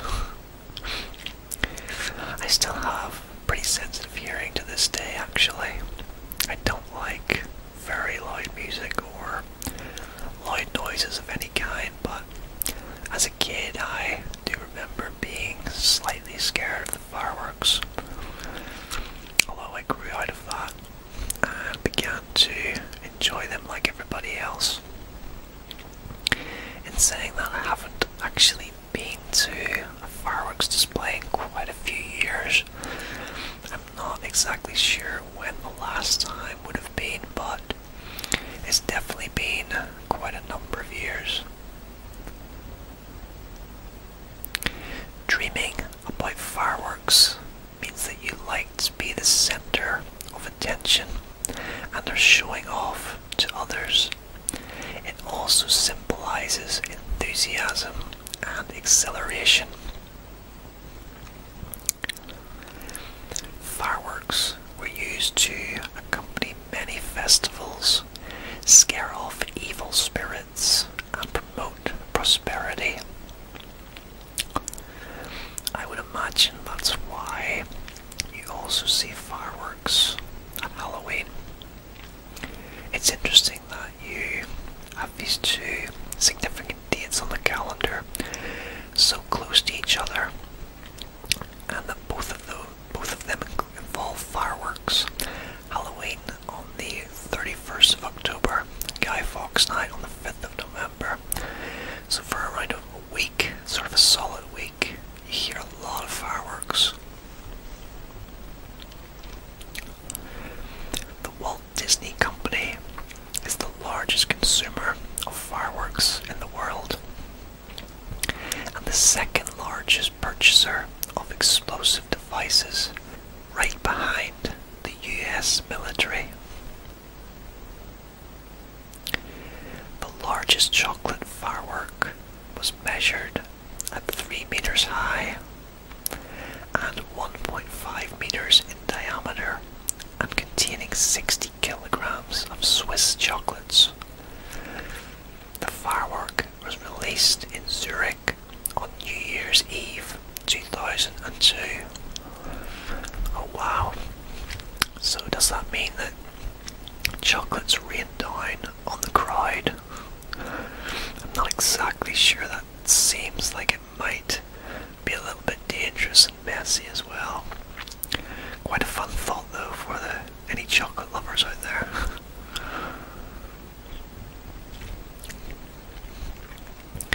I still have pretty sensitive hearing to this day, actually. I don't like very loud music or loud noises of any kind, but as a kid, I do remember being slightly scared of the fireworks. Although I grew out of that and began to enjoy them like everybody else. In saying that, I haven't actually been to a fireworks display in quite a few years, not exactly sure when the last time would have been, but it's definitely been quite a number of years. Dreaming about fireworks means that you like to be the center of attention and are showing off to others. It also symbolizes enthusiasm and exhilaration. Fireworks were used to accompany many festivals, scare off evil spirits, and promote prosperity. I would imagine that's why you also see fireworks on Halloween. It's interesting that you have these two significant different dates on the calendar so close to each other, and that both of them involve fireworks. Halloween on the 31st of October, Guy Fawkes Night on the 5th of November. So for around a week, sort of a solid week, you hear a lot of fireworks. Disney Company is the largest consumer of fireworks in the world and the second largest purchaser of explosive devices, right behind the US military. The largest chocolate firework was measured at 3 meters high and 1.5 meters in diameter and containing 60 kilograms of Swiss chocolates. The firework was released in Zurich on New Year's Eve 2002. Oh wow. So, does that mean that chocolates rained down on the crowd? I'm not exactly sure that seems like it it might be a little bit dangerous and messy as well. Quite a fun thought though for the any chocolate lovers out there.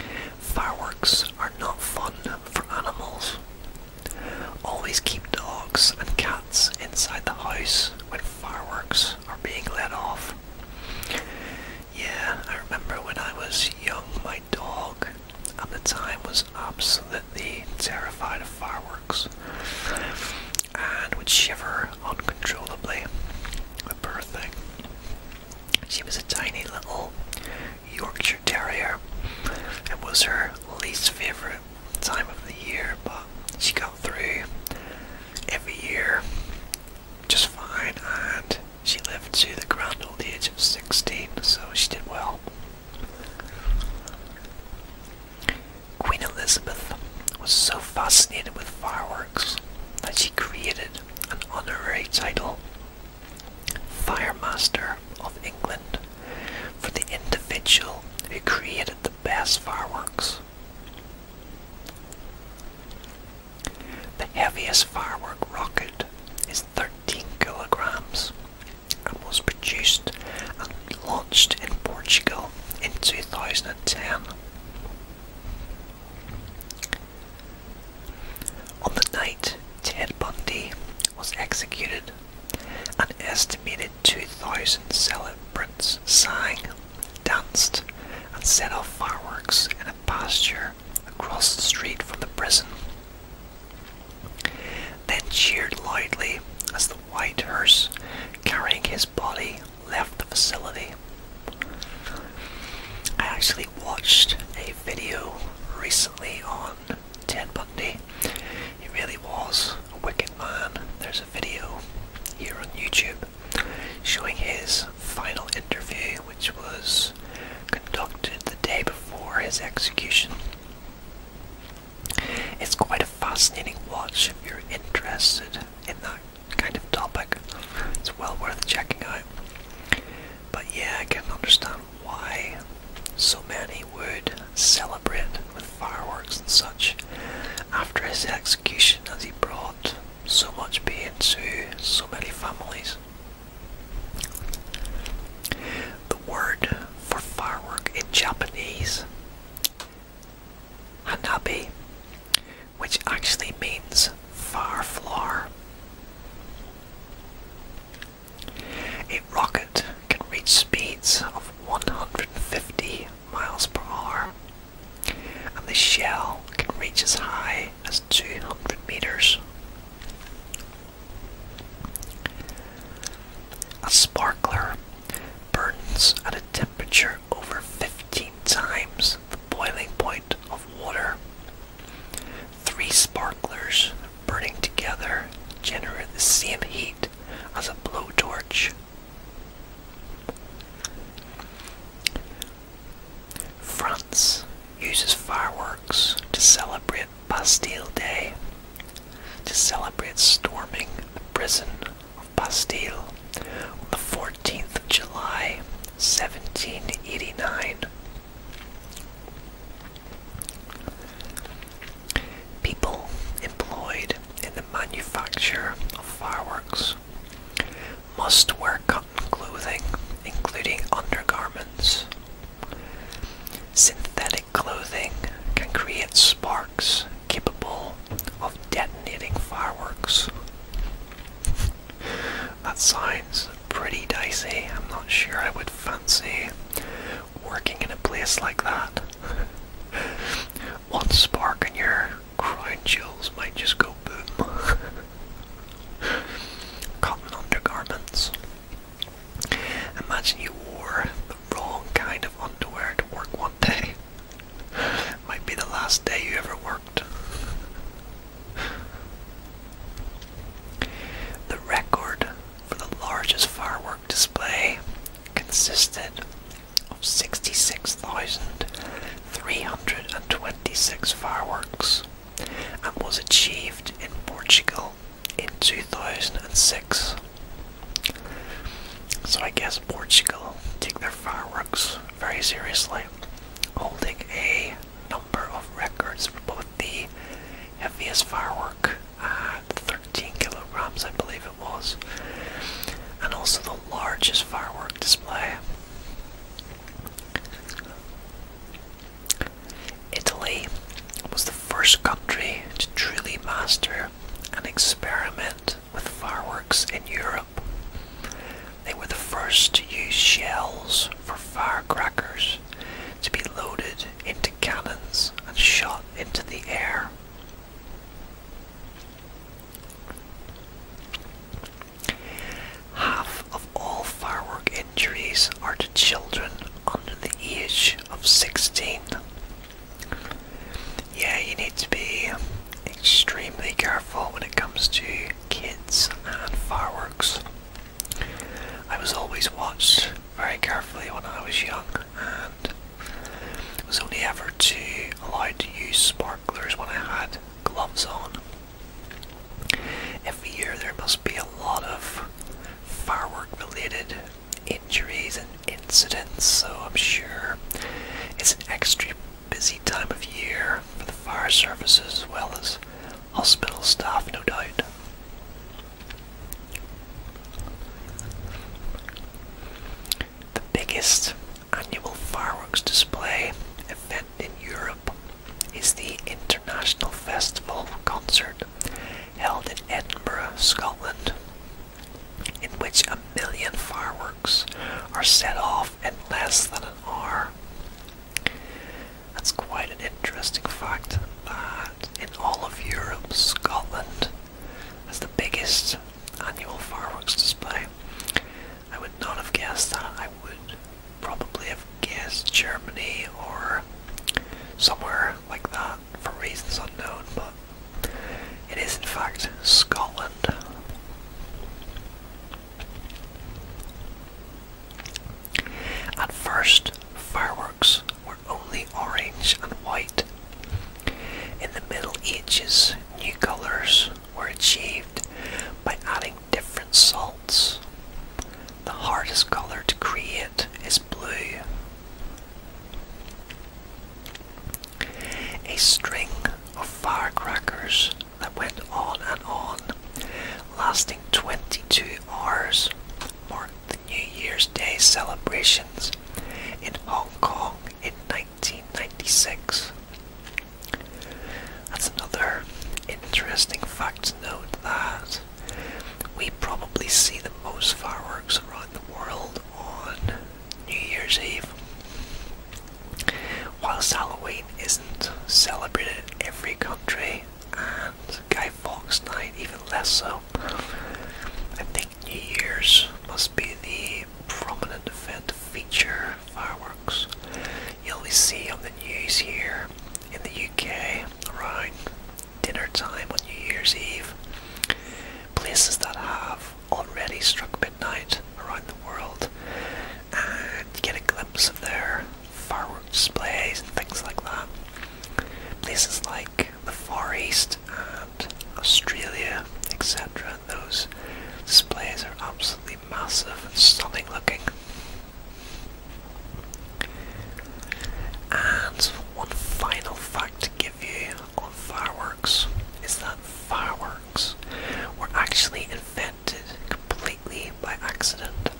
Fireworks are not fun for animals. Always keep dogs and cats inside the house when fireworks are being let off. Yeah, I remember when I was young, my dog at the time was absolutely terrified of fireworks and would shiver uncontrollably. A poor thing. She was a tiny little Yorkshire Terrier. It was her least favourite time of the year, but she got through every year just fine and she lived to the ground old age of 16, so she did well. Queen Elizabeth was so fascinated with fireworks that she created an honorary title, Firemaster of England, for the individual who created the best fireworks. The heaviest firework rocket is 13 kilograms and was produced and launched in Portugal in 2010. On the night Ted Bundy was executed, an estimated 2,000 celebrants sang, danced, and set off fireworks in a pasture across the street from the prison, then cheered loudly as the white hearse carrying his body left the facility. I actually watched a video recently on Ted Bundy. He really was a wicked man. There's a video here on YouTube showing his final interview, which was conducted the day before his execution. It's quite a fascinating watch if you're interested in that kind of topic. It's well worth checking out. But yeah, I can understand why so many would celebrate with fireworks and such after his execution as he brought so much pain to so many families. The word for firework in Japanese, hanabi, which actually means fire flower. A rocket can reach speeds of 150 miles per hour, and the shell can reach as high as 200 meters. A sparkler burns at a temperature over 15 times the boiling point of water. Three sparklers burning together generate the same heat as a blowtorch. France uses fireworks to celebrate celebrate Bastille Day, to celebrate storming the prison of Bastille on the 14th of July, 1789. People employed in the manufacture of fireworks must wear cotton clothing, including undergarments, Synthetic clothing can create sparks capable of detonating fireworks. that sounds pretty dicey. I'm not sure I would fancy working in a place like that. One spark in your crown jewels might just go boom. Cotton undergarments. Imagine you wore the wrong kind of underwear to work one day. Might be the last day you ever worked. The record for the largest firework display consisted of 66,326 fireworks and was achieved in Portugal in 2006. So I guess Portugal take their fireworks very seriously, holding a number of records for both the heaviest firework 13 kilograms, I believe it was, and also the largest firework display. Italy was the first country to truly master and experiment with fireworks in Europe. They were the first to use shells for firecrackers to be loaded into cannons and shot into the air. Half of all firework injuries are to children under the age of 16. Yeah, you need to be extremely careful when it comes to kids and fireworks. I was always watched very carefully when I was young and was only ever to allowed to use sparklers when I had gloves on. Every year there must be a lot of firework-related injuries and incidents, so I'm sure it's an extra busy time of year for the fire services as well as hospital staff, no doubt. The biggest annual fireworks display event in Europe is the International Festival Concert held in Edinburgh, Scotland, in which a million fireworks are set off in less than an hour. That's quite an interesting fact that in all of Europe, Scotland has the biggest annual fireworks display. I would not have guessed that. I would probably have guess Germany or somewhere like that for reasons unknown, but it is in fact Scotland. At first, fireworks were only orange and white. In the Middle Ages, new colours were achieved by adding different salts. The hardest colour to create is a string of firecrackers that went on and on, lasting 22 hours, marked the New Year's Day celebrations in Hong Kong in 1996. That's another interesting fact to note that we probably see the most fireworks around the world on New Year's Eve. While Halloween isn't celebrated in every country, and Guy Fawkes Night even less so, I think New Year's must be the prominent event to feature fireworks. You always see on the news here in the UK around dinner time on New Year's Eve. Places that have already struck midnight around the world, and you get a glimpse of their fireworks displays and things like that. Places like the Far East and Australia, etc., those displays are absolutely massive and stunning looking. And one final fact to give you on fireworks is that fireworks were actually invented completely by accident.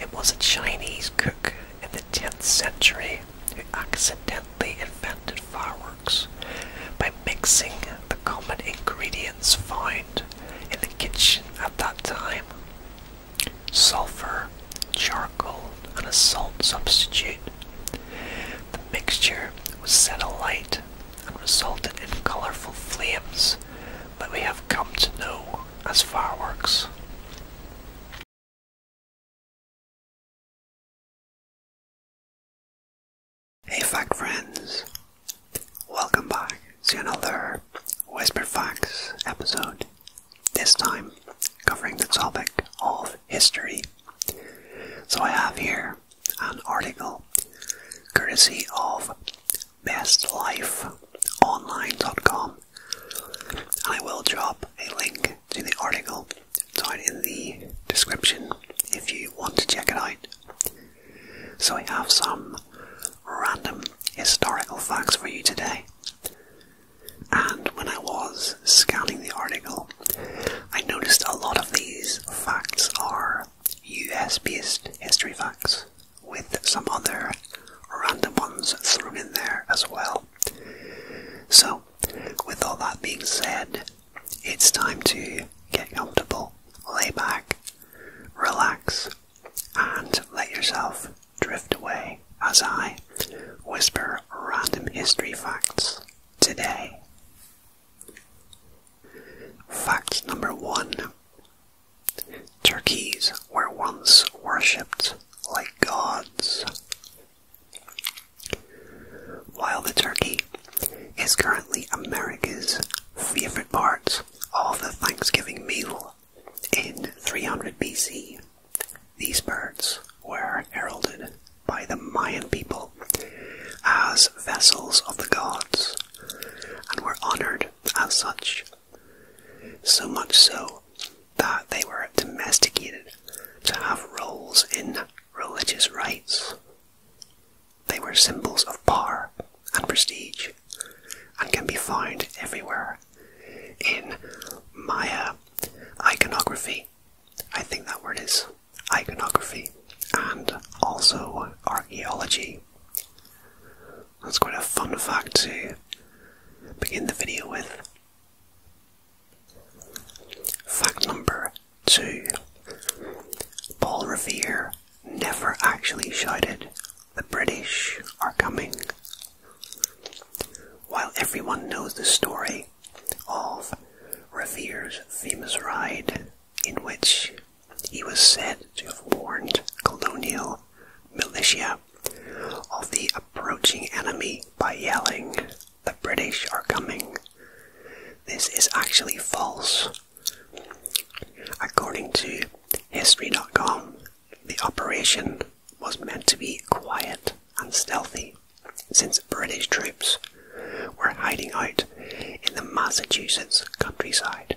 It was a Chinese cook in the 10th century who accidentally invented fireworks by mixing the common ingredients found in the kitchen at that time sulfur, charcoal, and a salt substitute. The mixture was set alight and resulted in colourful flames that we have come to know as fireworks. Hey fact friends, welcome back to another Whisper Facts episode this time covering the topic of history. So I have here an article courtesy of bestlifeonline.com and I will drop a link to the article down in the description if you want to check it out. So I have some random historical facts for you today. And when I was scanning the article, I noticed a lot of these facts are US based history facts, with some other random ones thrown in there as well. So, with all that being said, it's time to get comfortable, lay back, relax, and let yourself drift away as I whisper random history facts today. Fact number one Turkeys were once worshipped like gods. While the turkey is currently America's favourite part of the Thanksgiving meal, in 300 BC, these birds were heralded by the Mayan people as vessels of the gods and were honored as such, so much so that they were domesticated to have roles in religious rites. They were symbols of power and prestige and can be found everywhere in Maya iconography. I think that word is iconography and also archaeology. That's quite a fun fact to begin the video with. Fact number two Paul Revere never actually shouted the British are coming. While everyone knows the story of Revere's famous ride, in which he was said to have warned colonial militia of the approaching enemy by yelling, The British are coming. This is actually false. According to History.com, the operation was meant to be quiet and stealthy, since British troops were hiding out in the Massachusetts countryside.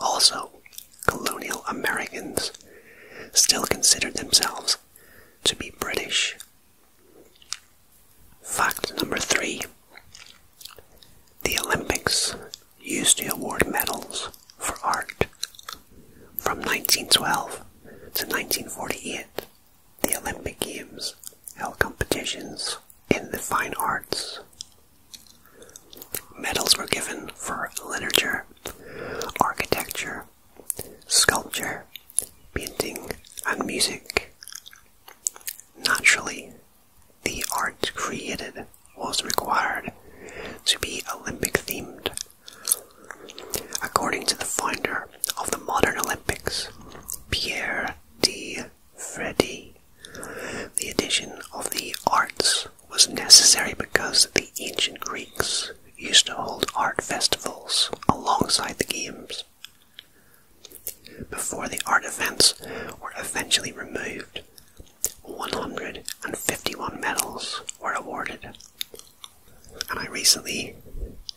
Also, colonial Americans still considered themselves to be British. Fact number three the Olympics used to award medals for art. From 1912 to 1948, the Olympic Games held competitions in the fine arts. Medals were given for literature, architecture, sculpture, painting, and music. Naturally, the art created was required to be Olympic themed. According to the founder of the modern Olympics, Pierre de Freddy, the addition of the arts was necessary because the ancient Greeks used to hold art festivals alongside the games. Before the art events were eventually removed, 151 medals were awarded. And I recently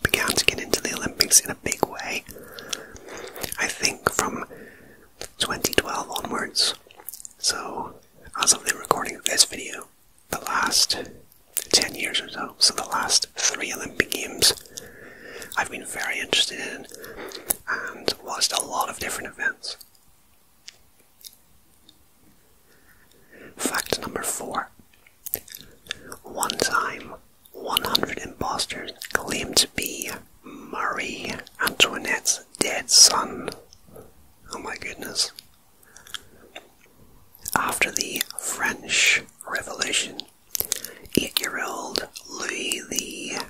began to get into the Olympics in a big way. I think from 2012 onwards. So, as of the recording of this video, the last 10 years or so, so the last three Olympic Games, I've been very interested in and watched a lot of different events. Fact number four. One time, 100 imposters claimed to be Marie Antoinette's dead son. Oh my goodness. After the French Revolution, eight year old Louis the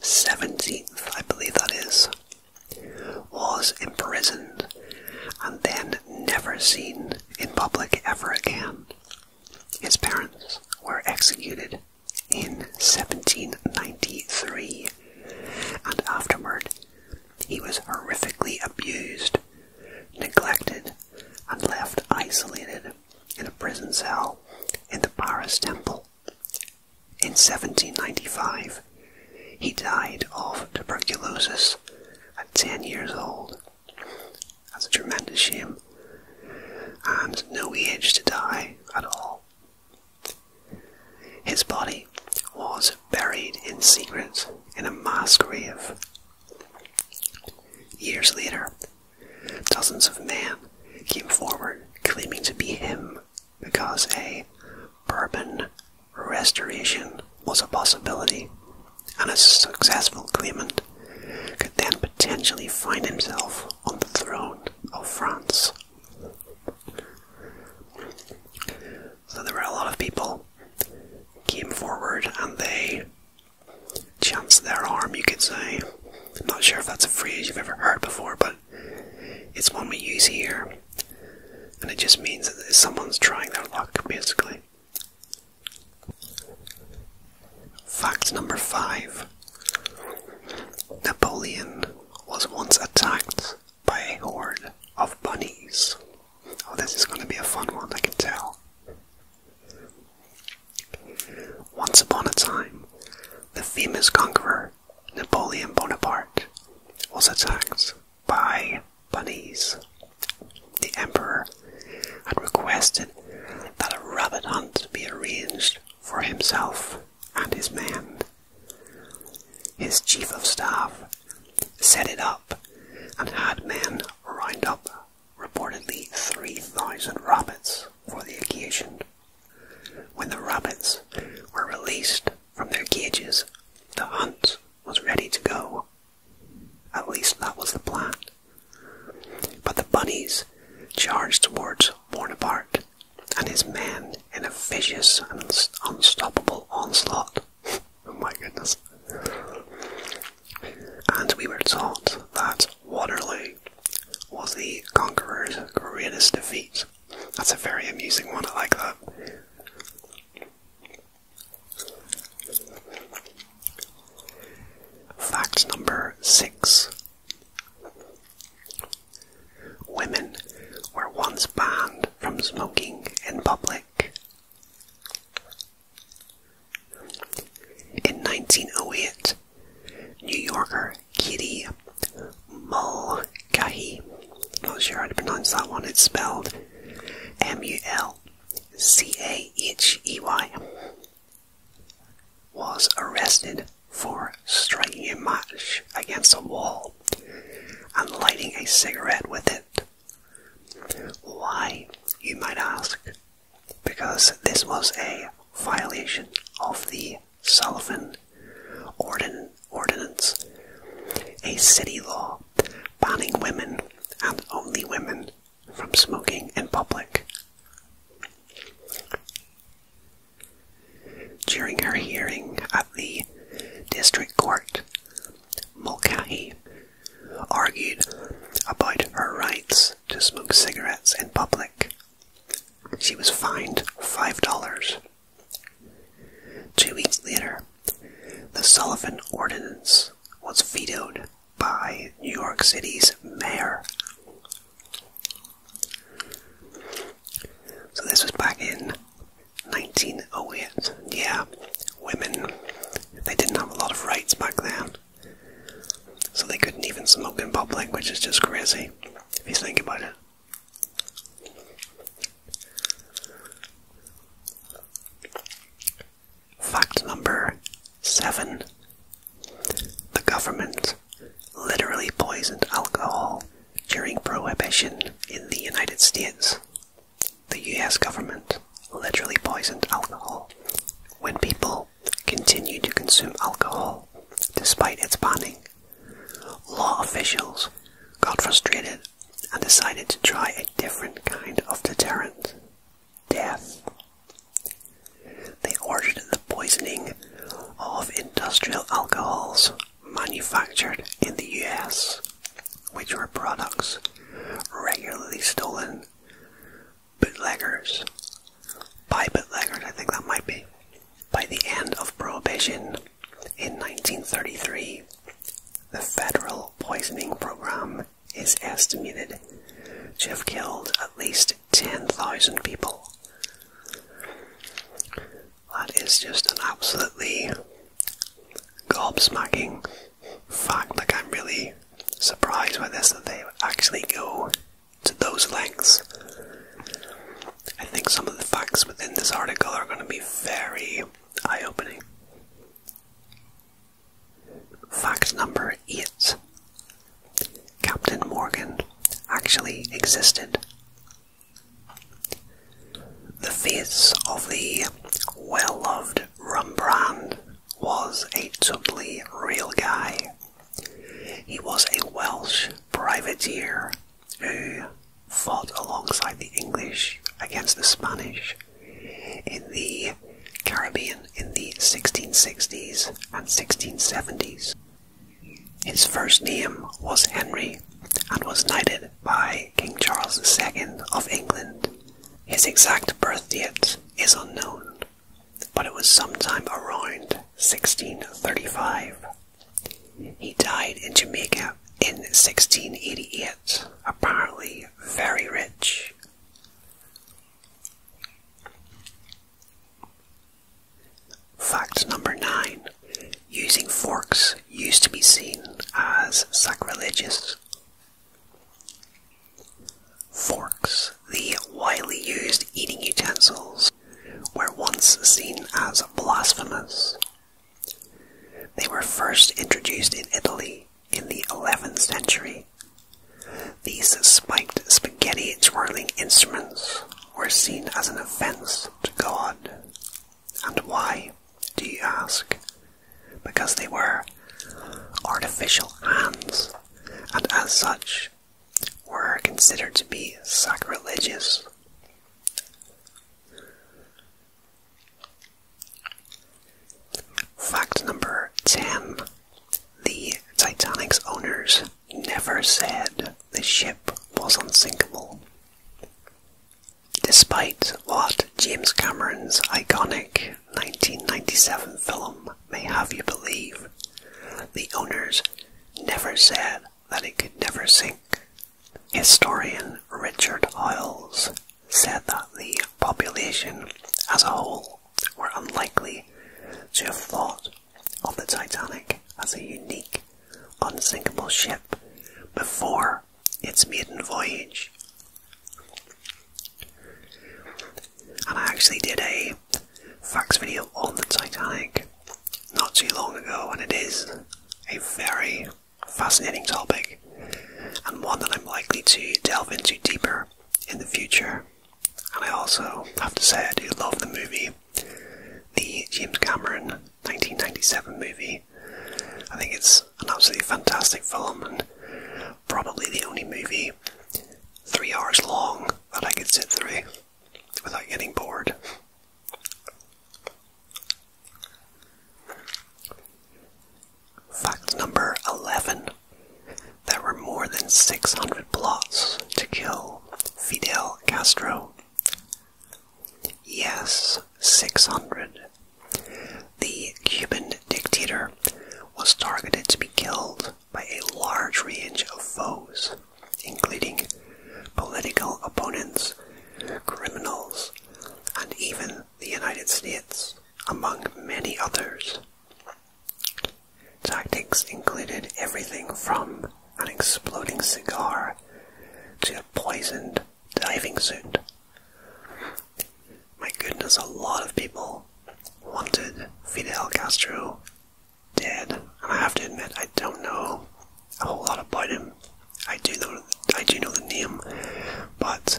17th, I believe that is, was imprisoned, and then never seen in public ever again. His parents were executed in 1793, and afterward he was horrifically abused, neglected, and left isolated in a prison cell in the Paris Temple in 1795, he died of tuberculosis at 10 years old. That's a tremendous shame. And no age to die at all. His body was buried in secret in a mass grave. Years later, dozens of men came forward claiming to be him because a Bourbon restoration was a possibility, and a successful claimant could then potentially find himself on the throne of France. So there were a lot of people came forward and they chanced their arm, you could say. I'm not sure if that's a phrase you've ever heard before, but it's one we use here, and it just means that someone's trying their luck, musically. Fact number five Napoleon was once attacked by a horde of bunnies. Oh, this is going to be a fun one, I can tell. Once upon a time, the famous conqueror Napoleon Bonaparte was attacked by bunnies. The emperor had requested that a rabbit hunt be arranged for himself and his men. His chief of staff set it up and had men round up reportedly 3,000 rabbits for the occasion. When the rabbits were released, from their cages, the hunt was ready to go. At least that was the plan. But the bunnies charged towards Warner Bart, and his men in a vicious and unstoppable onslaught. Oh my goodness. And we were taught that Waterloo was the conqueror's greatest defeat. That's a very amusing one, I like that. Fact number six Women were once banned from smoking in public. In 1908, New Yorker Kitty Mulcahy. Not sure how to pronounce that one. It's spelled M U L C A H E Y. Was arrested for striking a match against a wall and lighting a cigarette with it. Why, you might ask? Because this was a violation of the Sullivan ordinance, a city law banning women and only women from smoking in public. During her hearing at the district court, Mulcahy argued about her rights to smoke cigarettes in public. She was fined $5 Two weeks later, the Sullivan Ordinance was vetoed by New York City's mayor. So this was back in 1908. Yeah, women, they didn't have a lot of rights back then. So they couldn't even smoke in public, which is just crazy if you think about it. Fact number seven The government literally poisoned alcohol during Prohibition in the United States. The US government literally poisoned alcohol when people continued to consume alcohol despite its banning. Law officials got frustrated and decided to try a different kind of deterrent death. They ordered the poisoning of industrial alcohols manufactured in the US, which were products regularly stolen bootleggers by bootleggers, I think that might be. By the end of Prohibition, in 1933, the federal poisoning program is estimated to have killed at least 10,000 people. That is just an absolutely gobsmacking fact. Like, I'm really surprised by this that they actually go to those lengths. I think some of the facts within this article are going to be very eye opening. Fact number 8 Captain Morgan actually existed. The face of the well loved rum brand was a totally real guy. He was a Welsh privateer who fought alongside the English against the Spanish in the Caribbean in the 1660s and 1670s. His first name was Henry and was knighted by King Charles II of England. His exact birthdate is unknown, but it was sometime around 1635. He died in Jamaica in 1688, apparently very rich. Fact number nine using forks used to be seen as sacrilegious. Forks, the widely used eating utensils, were once seen as blasphemous they were first introduced in Italy in the 11th century. These spiked spaghetti twirling instruments were seen as an offense to God. And why, do you ask? Because they were artificial hands, and as such, were considered to be sacrilegious. Fact number 10 The Titanic's owners never said the ship was unsinkable. Despite what James Cameron's iconic 1997 film may have you believe, the owners never said that it could never sink Historian Richard Howells said that the population as a whole were unlikely to have thought of the Titanic as a unique, unsinkable ship before its maiden voyage. And I actually did a facts video on the Titanic not too long ago, and it is a very fascinating topic and one that I'm likely to delve into deeper in the future. And I also have to say, I do love the movie, the James Cameron 1997 movie. I think it's an absolutely fantastic film and probably the only movie three hours long that I could sit through without getting bored. Fact number 11 There were more than 600 plots to kill Fidel Castro. Yes, 600. The Cuban dictator was targeted to be killed by a large range of foes, including political opponents, criminals, and even the United States, among many others. Tactics included everything from an exploding cigar to a poisoned diving suit. My goodness, a lot of people wanted Fidel Castro dead, and I have to admit, I don't know a whole lot about him. I do know I do know the name, but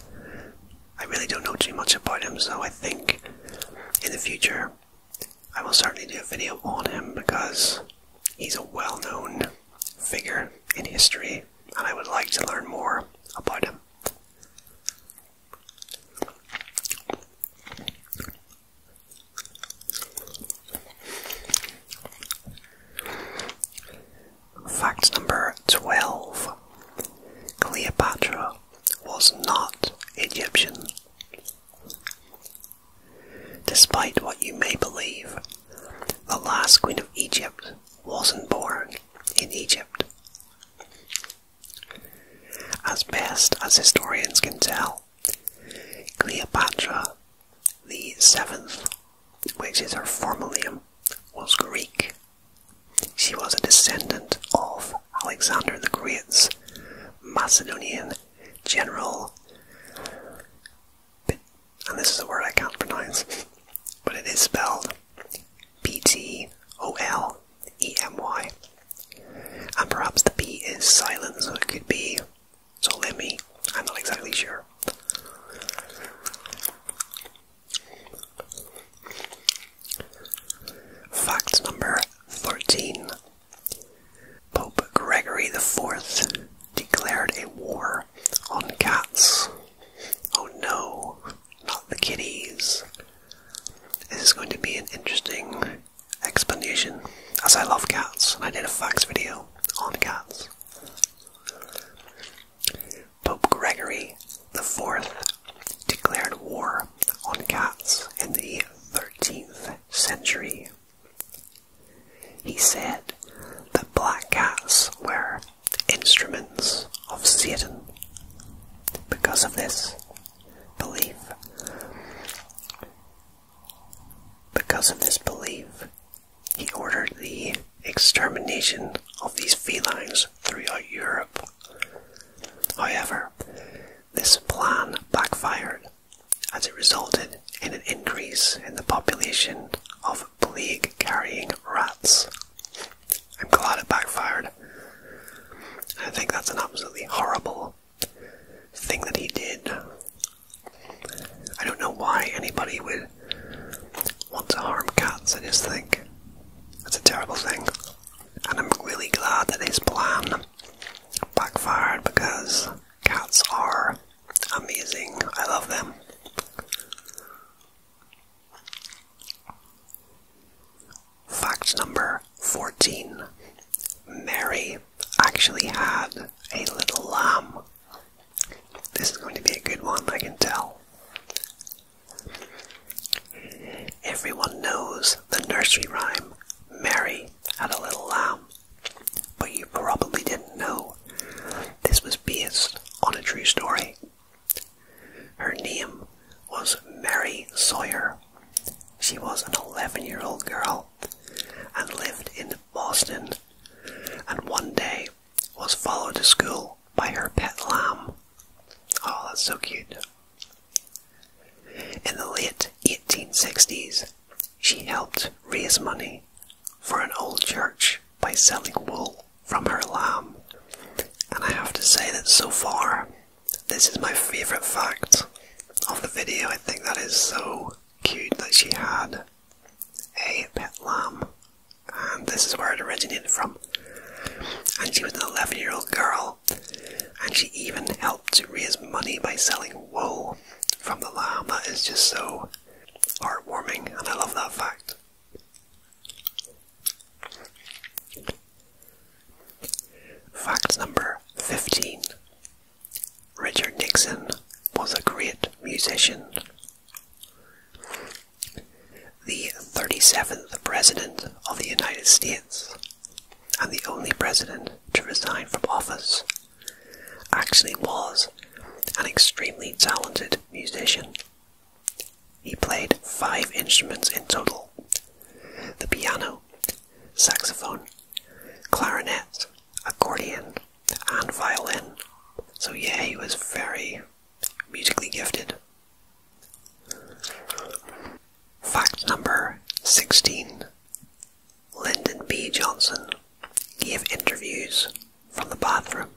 I really don't know too much about him. So I think in the future I will certainly do a video on him because he's a well-known figure in history, and I would like to learn more about him. Fact number 12 Cleopatra was not Egyptian. Despite what you may believe, the last queen of Egypt wasn't born in Egypt. As best as historians can tell, Cleopatra, the seventh which is her formalium, was Greek. She was a descendant of Alexander the Great's Macedonian general, and this is a word I can't pronounce, but it is spelled B T O L E M Y, And perhaps the B is silent, so it could be Solemi. I'm not exactly sure. Fact number 13 Pope Gregory the Fourth declared a war on cats. Oh no, not the kitties. This is going to be an interesting explanation, as I love cats and I did a facts video on cats. Pope Gregory IV declared war on cats in the 13th century. He said that black cats were instruments of Satan. Because of this belief, because of this belief, he ordered the extermination of these felines throughout Europe. However, this plan backfired as it resulted in an increase in the population of plague carrying rats. I'm glad it backfired. I think that's an absolutely horrible thing that he did. I don't know why anybody would want to harm cats. I just think it's a terrible thing, and I'm really glad that his plan backfired because cats are amazing. I love them. Fact number 14 Mary actually had a little lamb this is going to be a good one, I can tell. Everyone knows the nursery rhyme, Mary had a little lamb. But you probably didn't know this was based on a true story. Her name was Mary Sawyer. She was an 11 year old girl and lived in Boston. And one day was followed to school by her pet lamb. Oh, that's so cute. In the late 1860s, she helped raise money for an old church by selling wool from her lamb. And I have to say that so far, this is my favourite fact of the video. I think that is so cute that she had a pet lamb and um, this is where it originated from. And she was an 11 year old girl, and she even helped to raise money by selling wool from the lamb. That is just so heartwarming, and I love that fact. Fact number 15 Richard Nixon was a great musician the 37th President of the United States, and the only President to resign from office, actually was an extremely talented musician. He played five instruments in total the piano, saxophone, clarinet, accordion, and violin. So, yeah, he was very, musically gifted. Fact number 16 Lyndon B. Johnson gave interviews from the bathroom.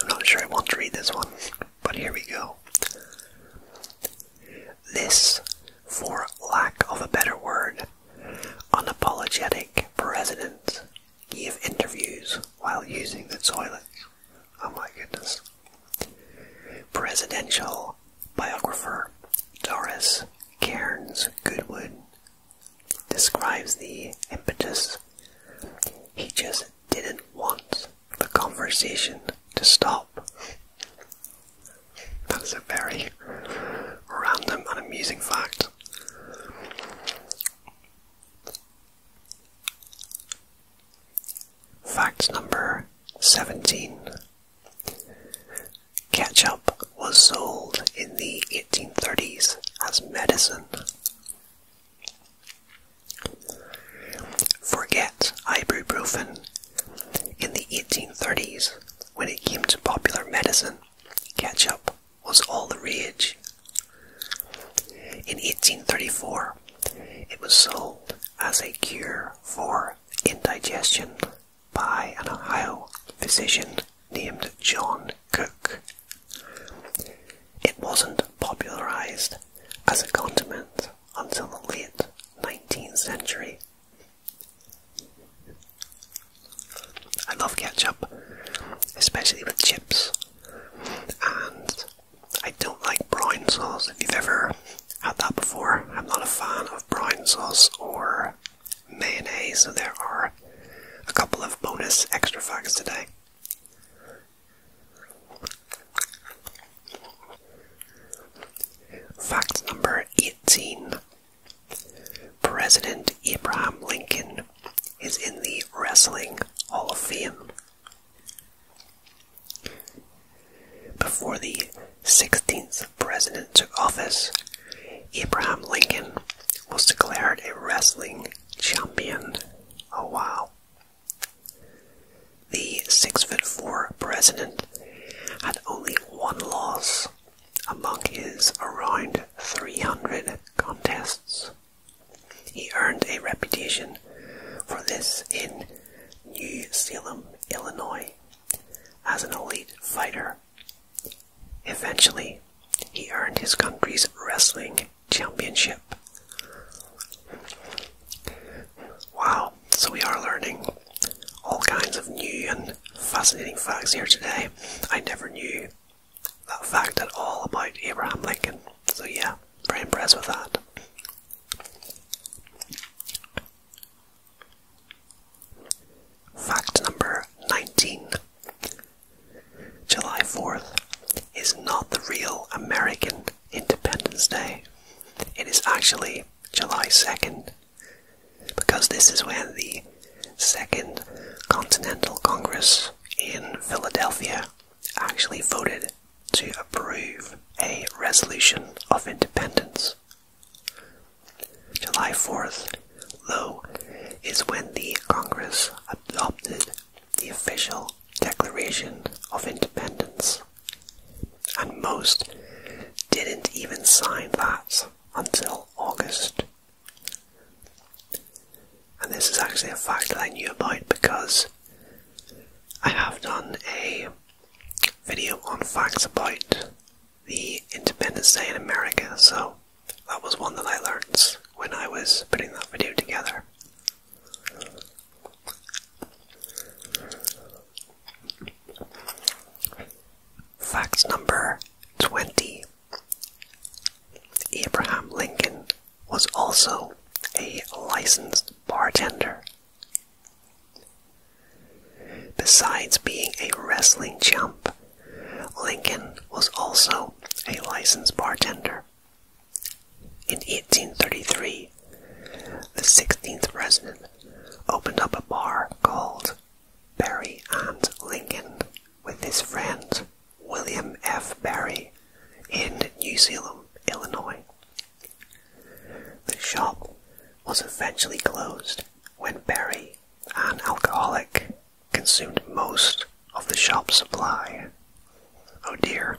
I'm not sure I want to read this one, but here we go. This, for lack of a better word, unapologetic president Give interviews while using the toilet. Oh my goodness. Presidential biographer Doris Cairns Goodwood describes the impetus. He just didn't want the conversation to stop. That's a very random and amusing fact. Fact number 17. Ketchup was sold in the 1830s as medicine. Forget ibuprofen. In the 1830s, when it came to popular medicine, ketchup was all the rage. In 1834, it was sold as a cure for indigestion by an Ohio physician named John Cook. It wasn't popularized as a condiment until the late 19th century. I love ketchup, especially with chips and I don't like brown sauce. If you've ever had that before, I'm not a fan of brown sauce or mayonnaise, so there are a couple of bonus extra facts today. Fact number 18 President Abraham Lincoln is in the Wrestling Hall of Fame. Before the 16th president took office, Abraham Lincoln was declared a wrestling champion. Oh wow. The six foot four president had only one loss among his around 300 contests. He earned a reputation for this in New Salem, Illinois, as an elite fighter. Eventually, he earned his country's wrestling championship. Wow, so we are learning all kinds of new and fascinating facts here today. I never knew that fact at all about Abraham Lincoln. So, yeah, very impressed with that. Fact number 19 July 4th is not the real American Independence Day, it is actually July 2nd, because this is when the Second Continental Congress in Philadelphia actually voted to approve a resolution of independence. July 4th, though, is when the Congress adopted the official Declaration of Independence, and most didn't even sign that until August and this is actually a fact that I knew about because I have done a video on facts about the Independence Day in America, so that was one that I learnt when I was putting that video together. Facts number 20. Abraham Lincoln was also a licensed bartender. Besides being a wrestling champ, Lincoln was also a licensed bartender. In 1833, the 16th president opened up a bar called Barry and Lincoln with his friend William F. Barry in New Salem, Illinois. The shop was eventually closed when Barry, an alcoholic, consumed most of the shop's supply. Oh dear.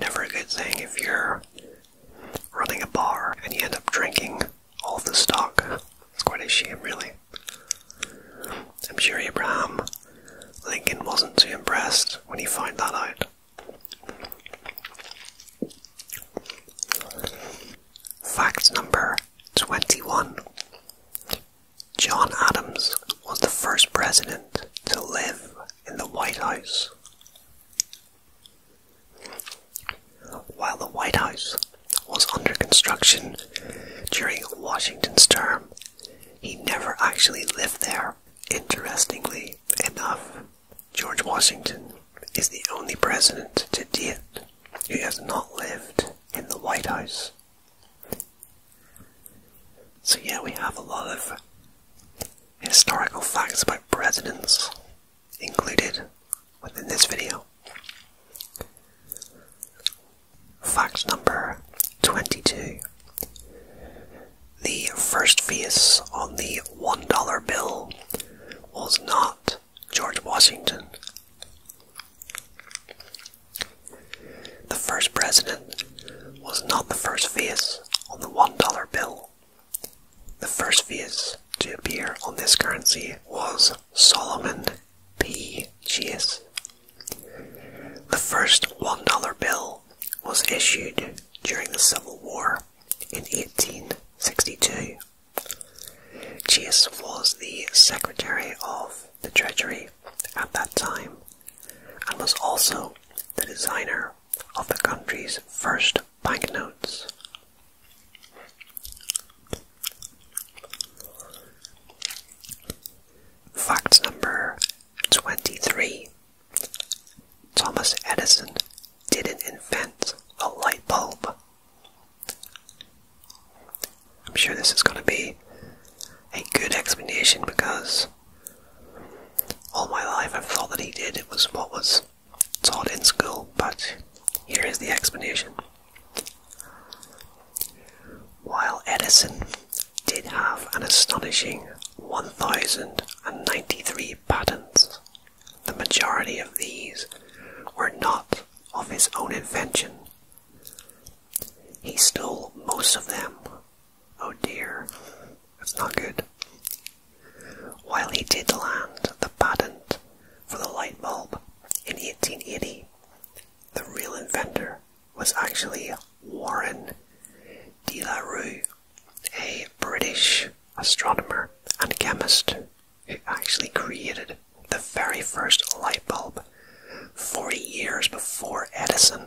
Never a good thing if you're running a bar and you end up drinking all the stock. It's quite a shame, really. I'm sure Abraham Lincoln wasn't too impressed when he found that out. Fact number 21 John Adams was the first president to live in the White House. While the White House was under construction during Washington's term he never actually lived there. Interestingly enough, George Washington is the only president to date who has not lived in the White House. So, yeah, we have a lot of historical facts about presidents included within this video. Fact number 22. The first face on the $1 bill was not George Washington. The first president was not the first face on the $1 bill. The first face to appear on this currency was Solomon P. Chase the first $1 bill was issued during the Civil War in 1862. Chase was the Secretary of the Treasury at that time and was also the designer of the country's first banknotes. Fact number 23 Thomas Edison didn't invent a light bulb. I'm sure this is going to be a good explanation because all my life i thought that he did. It was what was taught in school, but here is the explanation. While Edison did have an astonishing 1,093 patents, the majority of these were not of his own invention. He stole most of them. Oh dear, that's not good. While he did land the patent for the light bulb in 1880, the real inventor was actually Warren de la Rue, a British astronomer and chemist who actually created the very first light bulb 40 years before Edison.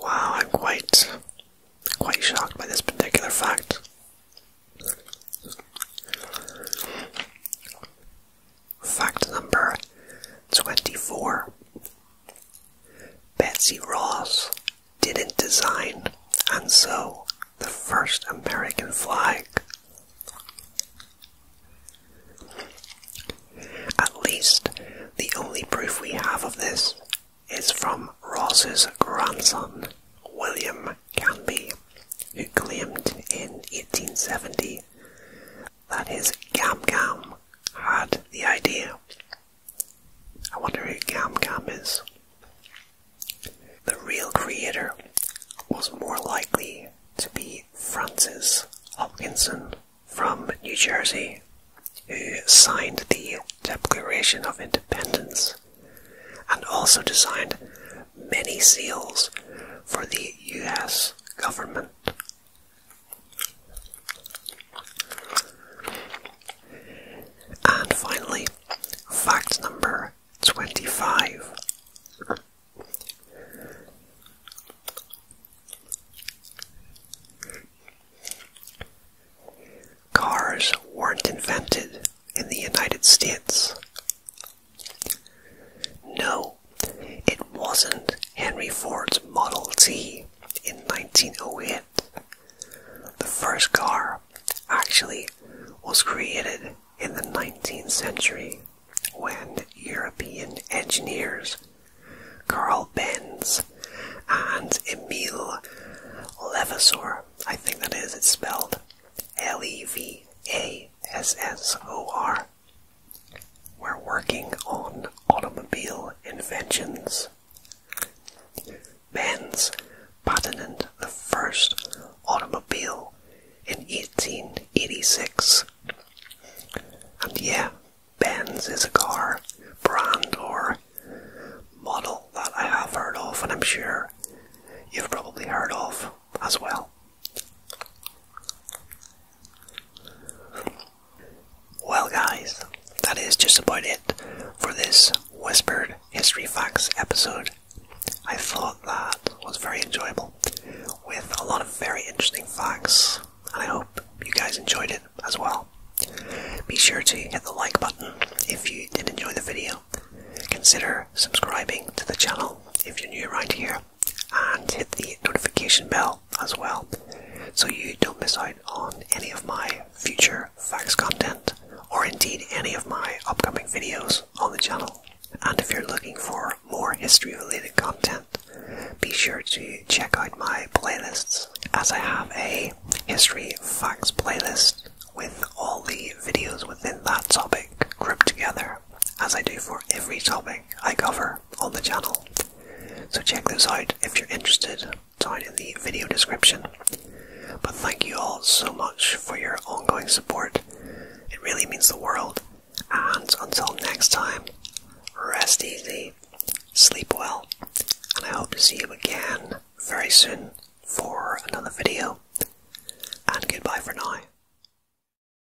Wow, I'm quite quite shocked by this particular fact. Fact number 24 Betsy Ross didn't design and sew the first American flag. At least the only proof we have of this is from Ross's grandson, William Canby, who claimed in 1870 that is Gam Gam had the idea. I wonder who Gam Gam is. The real creator was more likely to be Francis Hopkinson from New Jersey, who signed the Declaration of Independence and also designed many seals for the US government. And finally, fact number 25. Cars weren't invented in the United States no, it wasn't Henry Ford's Model T in 1908. The first car actually was created in the 19th century when European engineers Carl Benz and Emil levasor I think that is, it's spelled L E V A S S O R, we're working on automobile inventions. Benz patented the first automobile in 1886. And yeah, Benz is a car brand or model that I have heard of, and I'm sure you've probably heard of as well. Well, guys, that is just about it for this Whispered History Facts episode. I thought that was very enjoyable with a lot of very interesting facts, and I hope you guys enjoyed it as well. Be sure to hit the like button if you did enjoy the video. Consider subscribing to the channel if you're new right here and hit the notification bell as well so you don't miss out on any of my future facts content or indeed any of my upcoming videos on the channel. And if you're looking for more history related content, be sure to check out my playlists as I have a history facts playlist with all the videos within that topic grouped together as I do for every topic I cover on the channel. So check those out if you're interested down in the video description. But thank you all so much for your ongoing support. It really means the world. And until next time, rest easy, sleep well, and I hope to see you again very soon for another video. And goodbye for now.